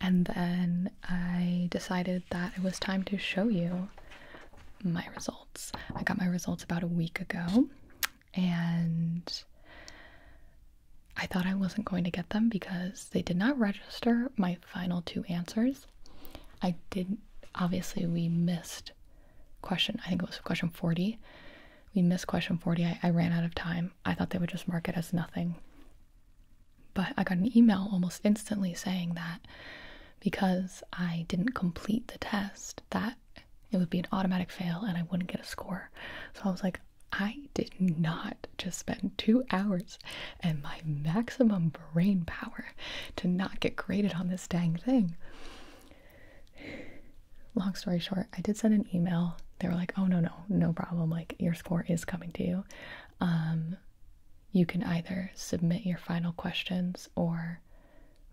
and then I decided that it was time to show you my results. I got my results about a week ago, and I thought I wasn't going to get them because they did not register my final two answers. I did, obviously, we missed question, I think it was question 40. We missed question 40. I ran out of time. I thought they would just mark it as nothing. But I got an email almost instantly saying that because I didn't complete the test, that it would be an automatic fail and I wouldn't get a score. So I was like, I did not just spend two hours and my maximum brain power to not get graded on this dang thing. Long story short, I did send an email. They were like, oh, no, no, no problem. Like, your score is coming to you. Um, you can either submit your final questions or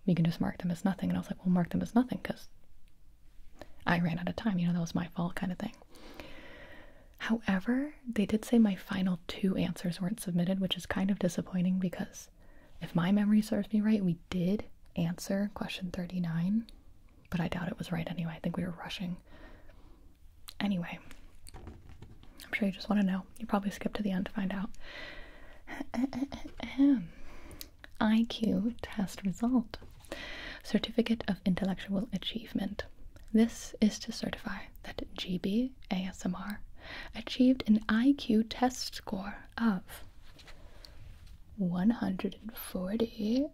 we can just mark them as nothing. And I was like, well, mark them as nothing because I ran out of time. You know, that was my fault kind of thing. However, they did say my final two answers weren't submitted, which is kind of disappointing because if my memory serves me right, we did answer question 39, but I doubt it was right anyway. I think we were rushing. Anyway, I'm sure you just want to know. You probably skipped to the end to find out. IQ test result Certificate of Intellectual Achievement. This is to certify that GB ASMR achieved an IQ test score of 140.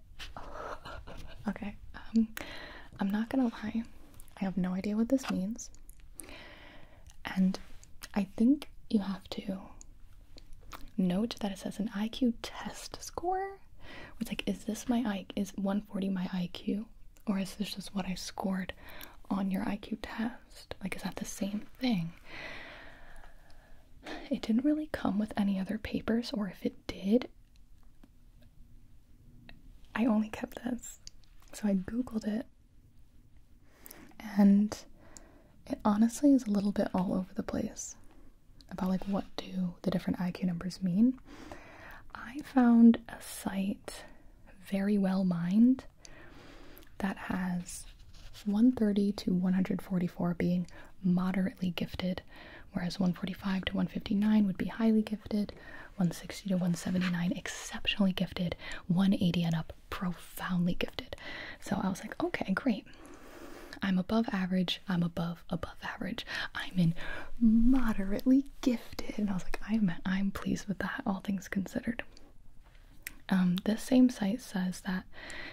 okay, um, I'm not gonna lie. I have no idea what this means. And I think you have to note that it says an IQ test score. It's like, is this my IQ? Is 140 my IQ? Or is this just what I scored on your IQ test? Like, is that the same thing? It didn't really come with any other papers, or if it did, I only kept this. So I googled it. And it honestly is a little bit all over the place about like what do the different IQ numbers mean. I found a site very well mined that has 130 to 144 being moderately gifted, whereas 145 to 159 would be highly gifted, 160 to 179 exceptionally gifted 180 and up profoundly gifted so i was like okay great i'm above average i'm above above average i'm in moderately gifted and i was like i'm i'm pleased with that all things considered um, this same site says that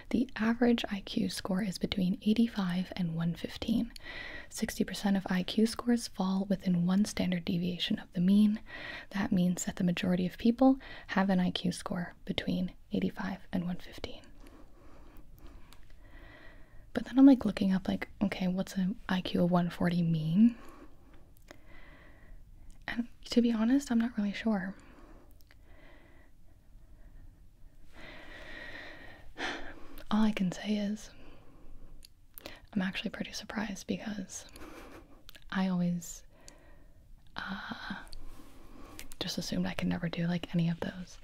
the average iq score is between 85 and 115 60% of IQ scores fall within one standard deviation of the mean. That means that the majority of people have an IQ score between 85 and 115. But then I'm like looking up, like, okay, what's an IQ of 140 mean? And to be honest, I'm not really sure. All I can say is I'm actually pretty surprised because I always uh, just assumed I could never do like any of those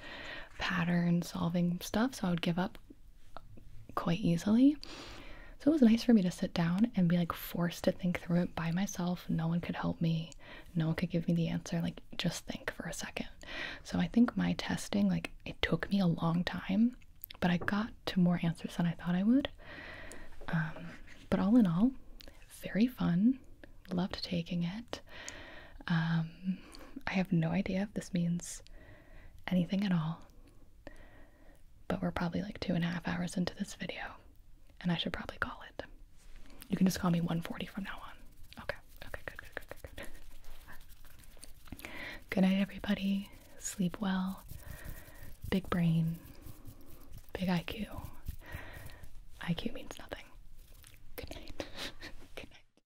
pattern solving stuff, so I would give up quite easily. So it was nice for me to sit down and be like forced to think through it by myself. No one could help me, no one could give me the answer. Like, just think for a second. So I think my testing, like, it took me a long time but I got to more answers than I thought I would. Um, but all in all, very fun. Loved taking it. Um, I have no idea if this means anything at all, but we're probably like two and a half hours into this video, and I should probably call it. You can just call me 140 from now on. Okay, okay, good, good, good, good, good. good night, everybody sleep well, big brain, big IQ. IQ means nothing. Good night. Good night.